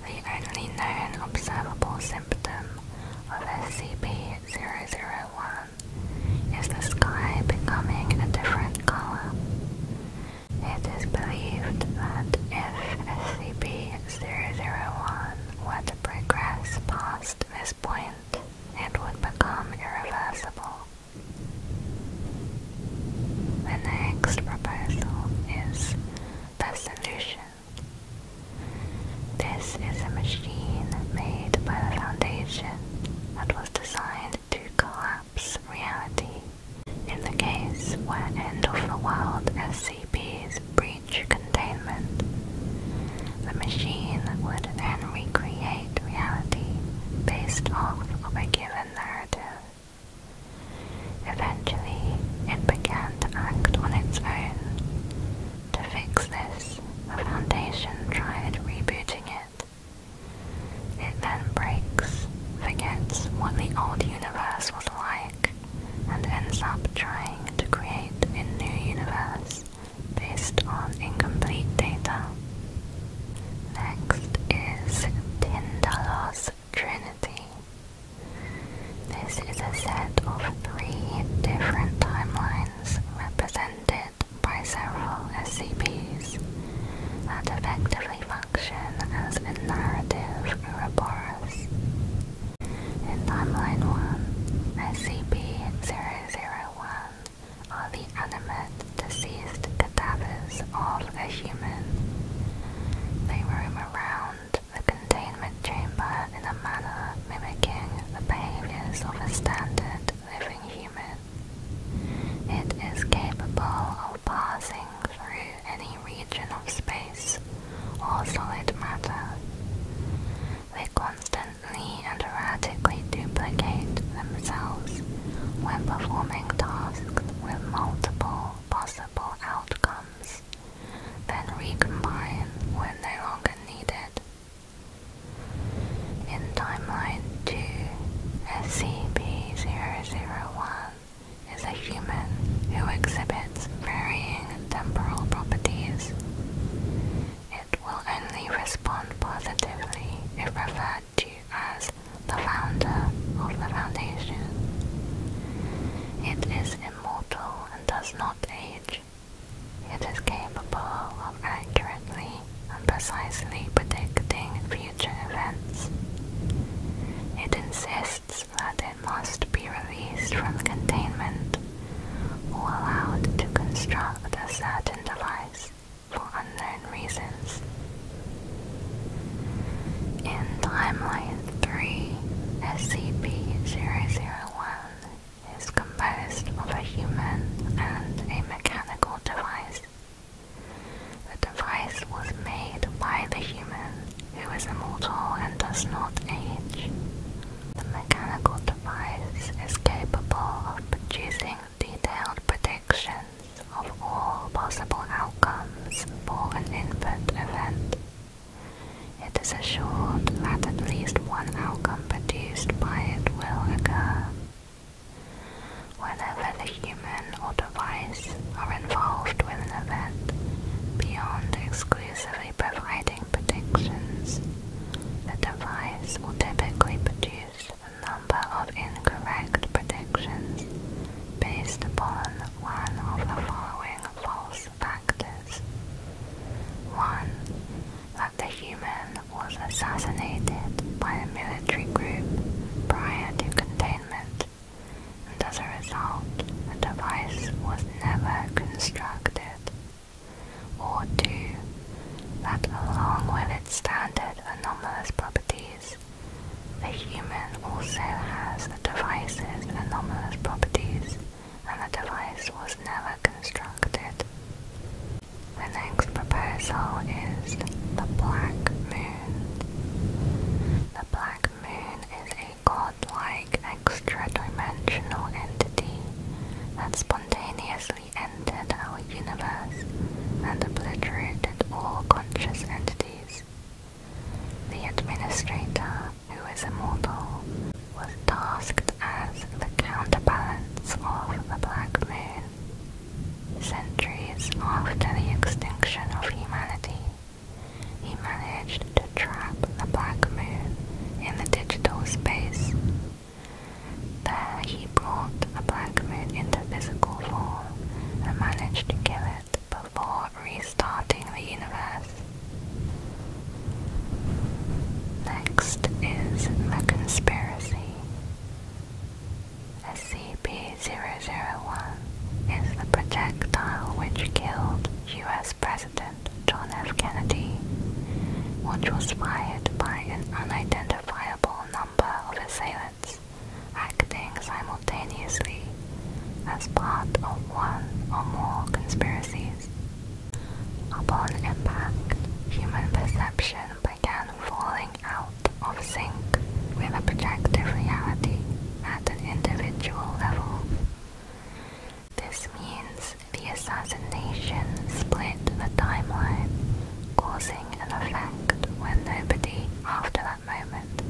The only known observable symptom of SCP-001 is the sky becoming a different color. It is believed that if SCP-001 were to progress past this point, it would become irreversible. The next proposal is the solution. This is a machine made by the Foundation that was designed to collapse reality in the case where end-of-the-world SCPs breach containment. The machine would then recreate reality based off of a given narrative. Eventually, it began to act on its own, to fix this, the Foundation tried rebooting it. It then breaks, forgets what the old universe was like, and ends up trying to create a new universe based on incomplete data. Next is Tyndall's Trinity. This is a set of three different timelines represented by several SCPs that effectively function as a narrative Ouroboros. In Timeline 1, SCP-001 are the animate, deceased cadavers of a human. They roam around the containment chamber in a manner mimicking the behaviors of a standard living human. It is capable of passing through any region of space or solid matter. They constantly and erratically duplicate themselves when performing tasks with multiple possible outcomes, then recombine when no longer needed in Timeline 2, SCP-001 is a human who exhibits varying temporal properties. It will only respond positively if referred to as the founder of the Foundation. It is immortal and does not age. It is capable of accurately and precisely predicting future events. It insists that it must be released from containment or allowed to construct a certain device for unknown reasons. In Timeline 3, SCP-001 is composed of a human and a mechanical device. The device was made by the human, who is immortal and does not age. The mechanical device is capable of producing detailed predictions of all possible outcomes for an input event. It is assured that at least one outcome produced by it will occur. Whenever the human or device are involved with an event beyond exclusively providing predictions, the device will typically produce a number of incorrect predictions based upon one of the following false factors. 1 the human was assassinated by a military group prior to containment, and as a result, the device was never constructed. Or two, that along with its standard anomalous properties, the human also has the device's anomalous properties, and the device was never constructed. The next proposal is the Black Moon. The Black Moon is a godlike extra-dimensional entity that spontaneously entered our universe and obliterated all conscious entities. The administrator, who is immortal, was tasked as the counterbalance of the Black Moon. Centuries after the extinction of humanity, he managed to trap the Black man in the digital space. There he brought the Black man into physical form and managed to kill it before restarting the universe. Next is The Conspiracy SCP-001 is the projectile which killed US President John F. Kennedy, which was fired by an unidentifiable number of assailants acting simultaneously as part of one or more conspiracies. Upon impact, human perception began falling out of sync with a projected reality at an individual level. This means the assassination split the timeline, causing an effect when nobody after that moment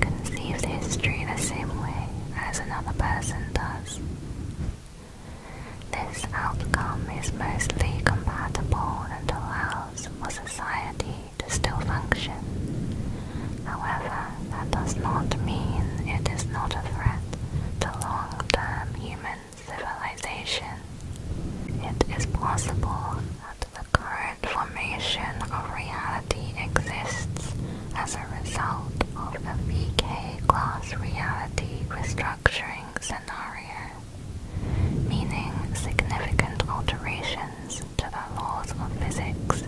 conceives history in the same way as another person does. This outcome is mostly compatible and allows for society to still function. However, that does not mean it is not a threat to long-term human civilization. It is possible that the current formation of reality exists as a result of the VK class reality restructuring scenario meaning significant alterations to the laws of physics,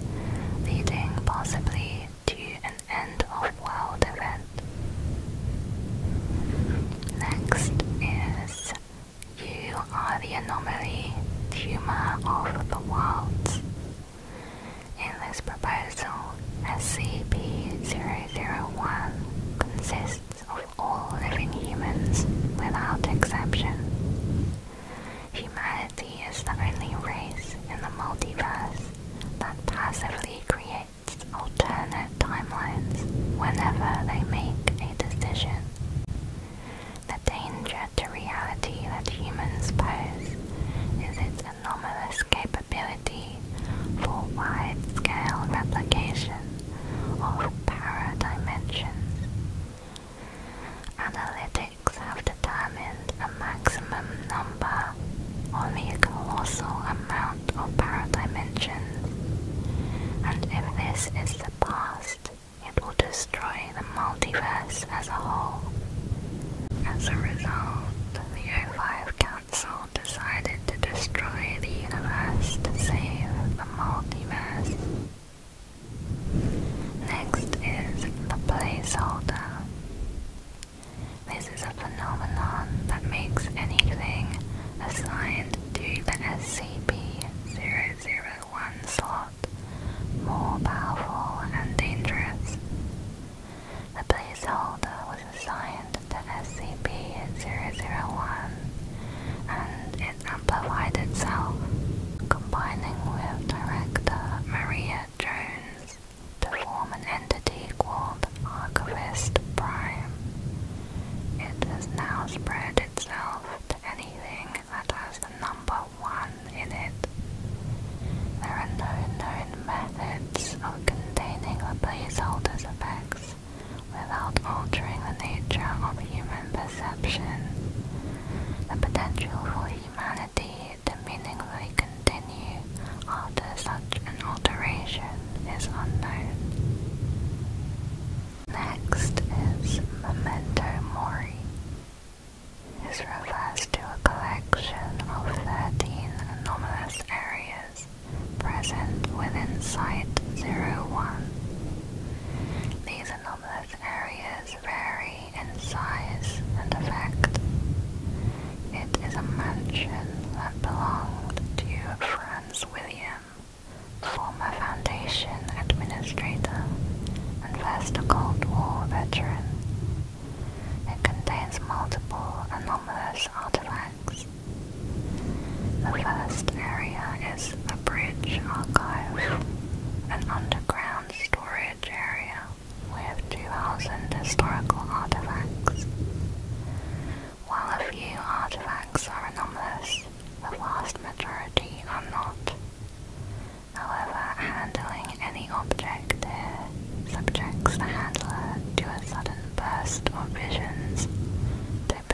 leading possibly to an end of world event. Next is You are the anomaly, tumor of the worlds. In this proposal, SCP-001 consists of all living humans without exception. Humanity is the only race in the multiverse that passively creates alternate timelines whenever they make a decision. The danger to reality that humans pose is its anomalous capability for wide-scale replication of paradimensions. Analytics have determined a maximum number on the colossal amount of dimensions. and if this is surpassed, it will destroy the multiverse as a whole. As a result, the O5 Council decided to destroy the universe to save the multiverse. Next is the placeholder. This is a phenomenon that makes anything assigned to the SCP-001 slot more powerful and dangerous. The placeholder was assigned the SCP-001 and it amplified itself, combining with director Maria Jones to form an entity called Archivist Prime. It has now spread itself to anything that has the number 1 in it. There are no known methods of containing the placeholder's effects without altering the nature of human perception. The potential for humanity to meaningfully continue after such an alteration is unknown. Next is Memento Mori. This refers to a collection of 13 anomalous areas present within Site 01. These anomalous areas vary in size and effect. It is a mansion that belonged to Franz William, former Foundation administrator and First Cold War veteran. It contains multiple anomalous artifacts, the first area is the Bridge Archive, an underground storage area with 2,000 historical artifacts. While a few artifacts are anomalous, the vast majority are not. However, handling any object subjects the handler to a sudden burst of visions,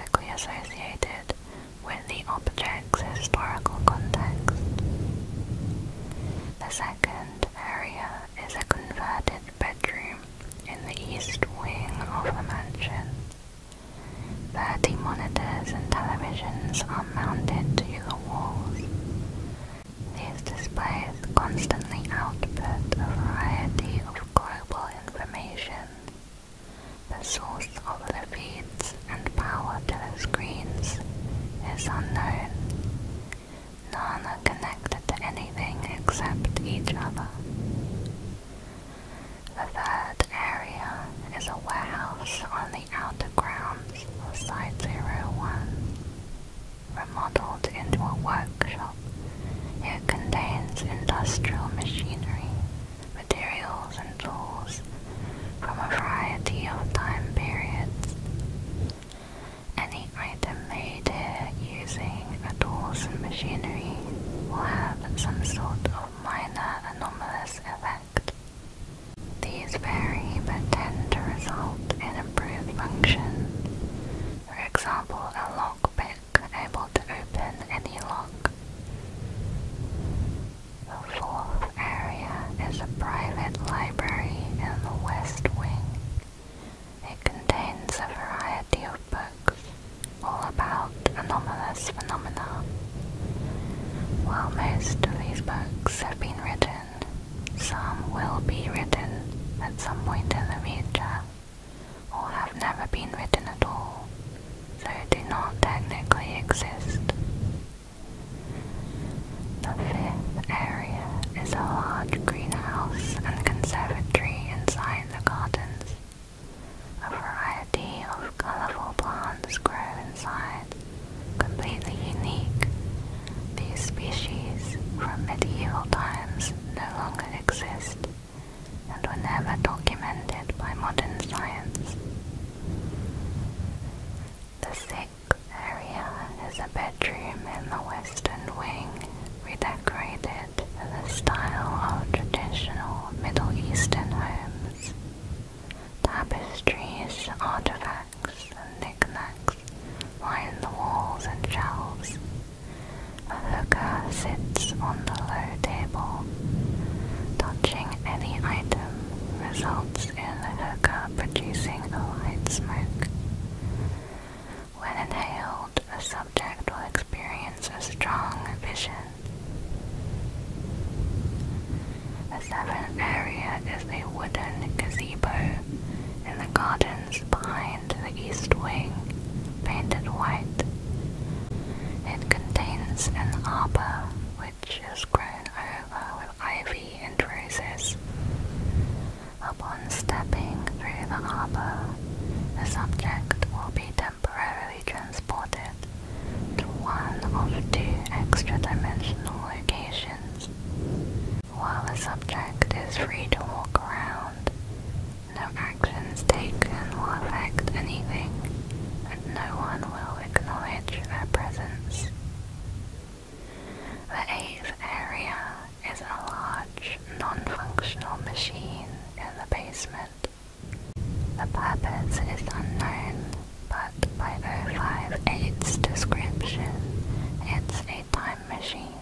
typically associated with the object's historical context. The second area is a converted bedroom in the east wing of the mansion. Thirty monitors and televisions are mounted to the walls. These displays constantly output a variety of global information the source of the feeds and power to the screens is unknown. None are connected to anything except each other. The third area is a warehouse on the outer grounds of Site 01, remodeled into a workshop. It contains industrial machinery, materials and tools from a variety of time periods. Any item made here using the tools and machinery will have some sort of minor anomalous effect. These vary but tend to result in improved function. For example, a lockpick unable to open any lock. The fourth area is a private library in the West Wing. It contains a variety of books all about anomalous phenomena. While most of these books have been written, some will be written at some point in the future or have never been written at all, so do not technically exist. The fifth area is a large greenhouse and conservatory inside the gardens. A variety of colourful plants grow inside, completely unique. These species from medieval times no longer exist and were never documented by modern science. The sixth area is a bedroom in the western wing, redecorated in the style of traditional Middle Eastern homes. Tapestries, artifacts, and knickknacks line the walls and shelves. A hooker sits on the low table. Touching any item results in the hooker producing a white smoke. When inhaled, a subject will experience a strong vision. A seventh area is a wooden gazebo in the gardens behind the east wing painted white. It contains an arbor which is grown over with ivy and roses. Upon stepping through the arbor, the subject will be temporarily transported to one of two extra-dimensional locations. While the subject is free to walk around, no actions taken will affect anything, and no one will acknowledge their presence. The eighth area is a large, non-functional machine in the basement. The purpose is unknown, but by 058's description, it's a time machine.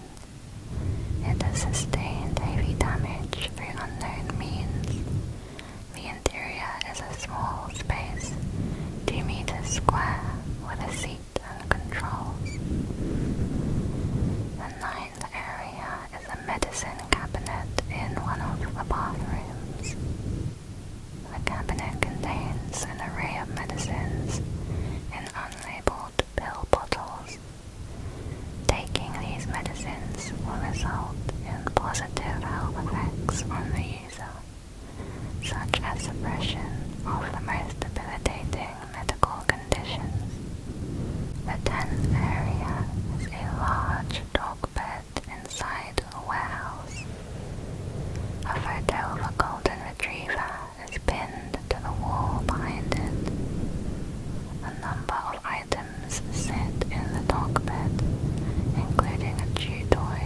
It has sustained heavy damage through unknown means. The interior is a small space, 2 meters square, with a seat and controls. The ninth area is a medicine cabinet in one of the bathrooms. The cabinet contains an array of medicines in unlabeled pill bottles Taking these medicines will result in positive health effects on the user, such as suppression of the most debilitating medical conditions. The tenth area is a large dog bed inside the warehouse. A photo of a golden retriever is pinned to the wall behind it. A number of items items set in the dog bed, including a chew toy,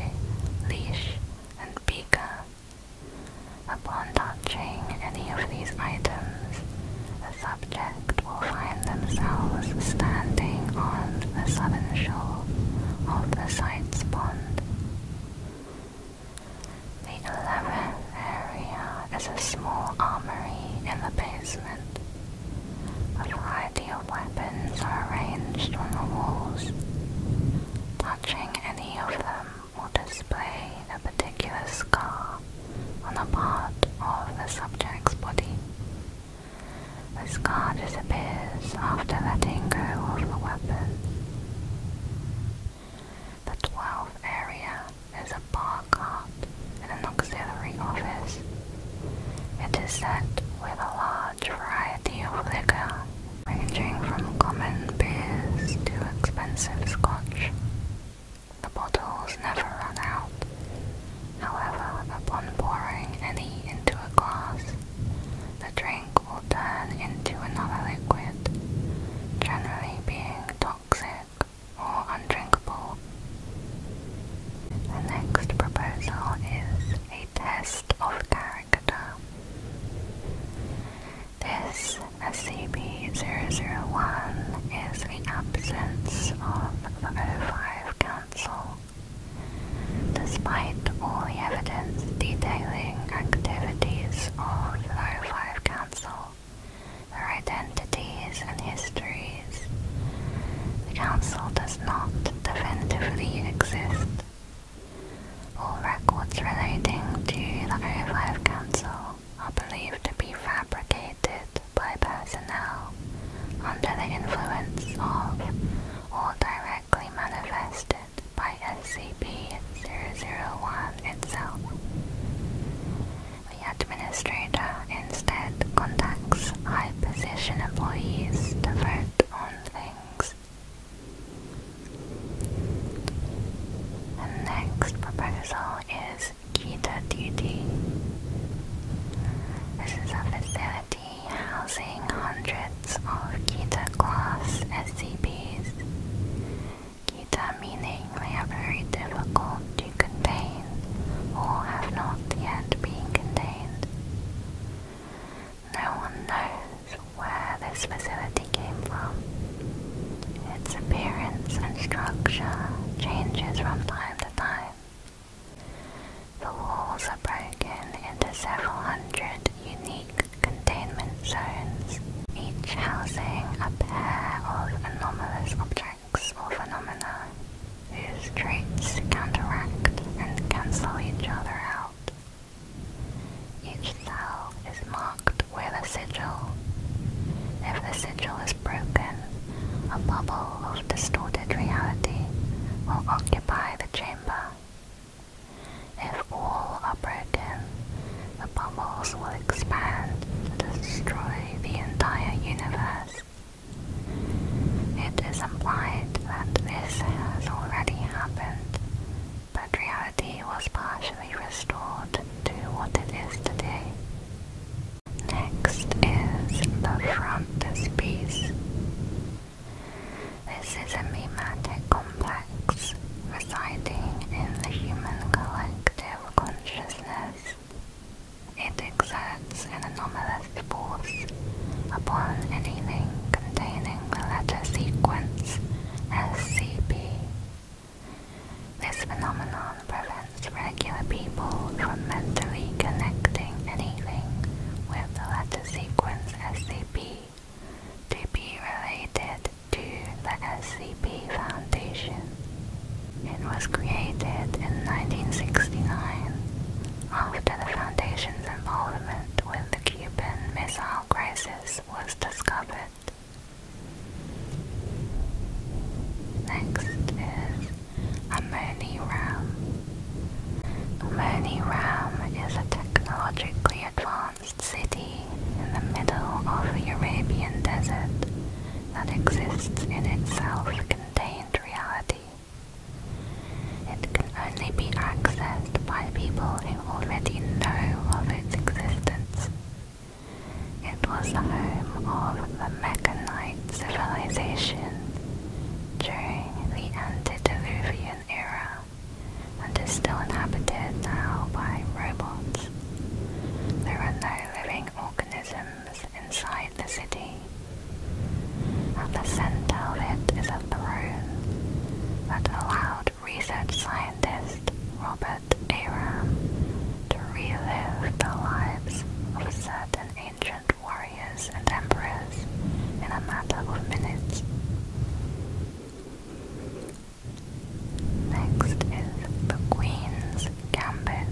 leash, and beaker. Upon touching any of these items, the subject will find themselves standing on the southern shore of the site's pond. The 11th area is a small armory in the basement, a variety of weapons are arranged on the walls. Touching any of them will display a particular scar on a part of the subject's body. The scar disappears after letting go of the weapon. The twelfth area there's a bar cart and an auxiliary office. It is set with a large variety of liquor, ranging from common beers to expensive scotch. The bottles never run out. However, upon pouring any into a glass, the drink will turn into another liquid, generally being toxic or undrinkable. The next proposal is a test of character. This SCP-001 is the absence of the O5 Council. Despite all the evidence detailing activities of the O5 Council, their identities and histories. The Council does not definitively exist. All records relating to the 0 Council are believed to be fabricated by personnel under the influence of or directly manifested by SCP-001 itself. The administrator instead contacts high position employees to vote on things. The next proposal is Kita Duty. This is a facility housing hundreds of Kita class SCPs. Kita meaning they have very difficult to or have not yet been contained. No one knows where this facility came from. Its appearance and structure changes from time to time. The walls are broken into several hundred unique containment zones, each housing a pair of anomalous objects or phenomena whose traits counteract and cancel each other out. Each cell is marked with a sigil. If the sigil is broken, a bubble of distorted reality will occupy the chamber. If all are broken, the bubbles will expand to destroy the entire universe. It is implied that this has already happened, but reality was partially restored to what it is today. Next is the frontispiece. This is a mimetic complex residing in the human collective consciousness it exerts an anomalous force upon anything containing the letter sequence SCP. This phenomenon prevents regular people from mentally connecting anything with the letter sequence SCP to be related to the SCP Foundation. It was created in 1969 after the Foundation's involvement with the Cuban Missile Crisis was discovered. Next is Amoni RAM. is a technologically advanced city in the middle of the Arabian desert that exists in itself contained reality. It can only be accessed by people who already know of its existence. It was the home of the Mechanite civilization during the antediluvian era and is still inhabited now by robots. There are no living organisms inside the city. At the center of it is a throne that allowed research scientist Robert Aram to relive the lives of certain ancient warriors and empresses in a matter of minutes. Next is the Queen's Gambit.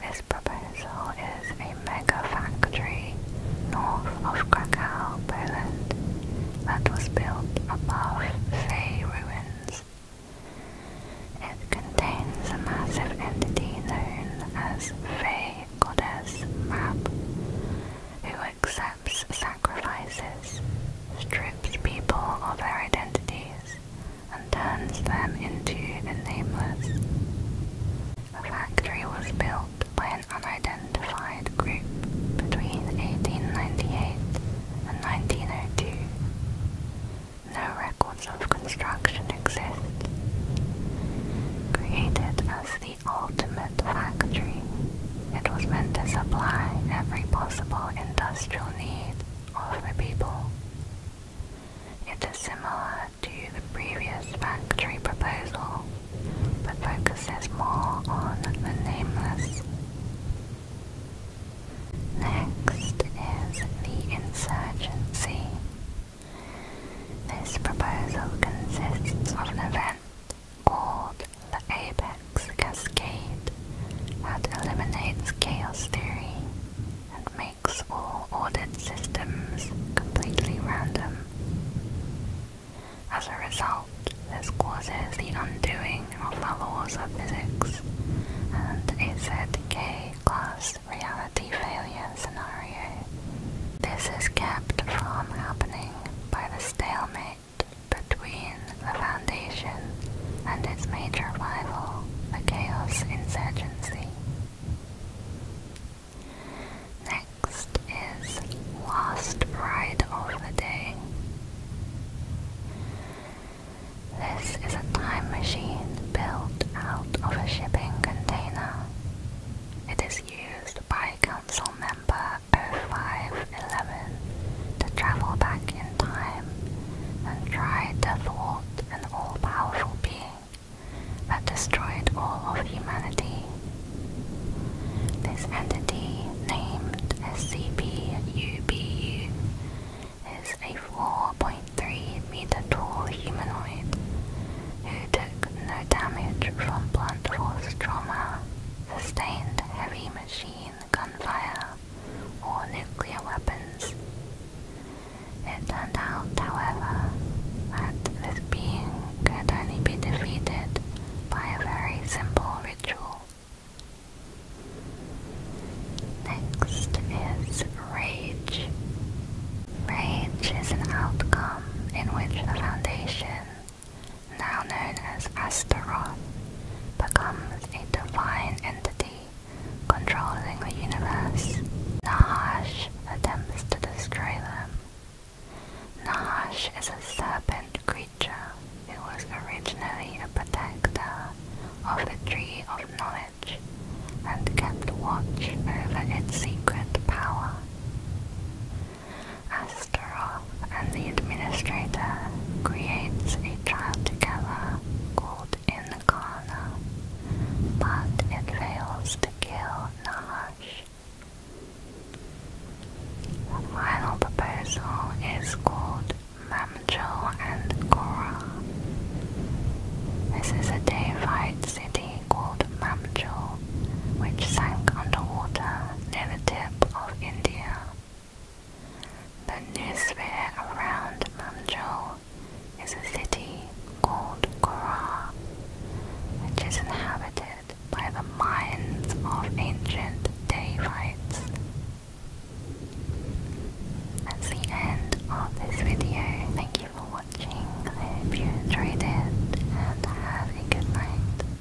This proposal is a mega factory north of Krakow, Poland, that was built above Fey ruins. It contains a massive entity known as Fey Goddess Map, who accepts sacrifices, strips people of their identities, and turns them into the Nameless. The factory was built by an unidentified group between 1898 and 1902. No records of construction exist. Created as the ultimate factory, it was meant to supply every possible industrial need of the people. It is similar to the previous factory proposal, but focuses more on the nameless. Next is the insurgency. This proposal consists of an event called the Apex Cascade that eliminates chaos theory and makes. Or audit systems completely random. As a result, this causes the undoing of the laws of physics and a ZK-class reality failure scenario. This is kept from happening by the stalemate between the Foundation and its major rival, the Chaos Insurgency. Next is Last Ride of the Day. This is a time machine built out of a shipping container. It is used by Council Member 0511 to travel back in time and try to thwart an all-powerful being that destroyed all of humanity. This entity, named SCP-UBU, is a 4.3 meter tall humanoid who took no damage from blunt force trauma, sustained heavy machine gun fire, or nuclear weapons. It turned out, however, that this being could only be defeated by a very simple ritual. Next is rage. Rage is an outcome in which the Foundation, now known as Astaroth, becomes a divine entity controlling the universe. Nahash attempts to destroy them. Nahash is a serpent creature who was originally a protector of the Tree of Knowledge and kept watch over its secret power. Astaroth and the Administrator creates a child together called but it fails to kill Nahash. The final proposal is called Mamjo and Korah. This is a Dayvite city called Mamjo, which sank underwater near the tip of India. The new sphere around Mamjo is a city called Korah, which is inhabited by the minds of ancient Davites. That's the end of this video. Thank you for watching. I hope you enjoyed it and have a good night.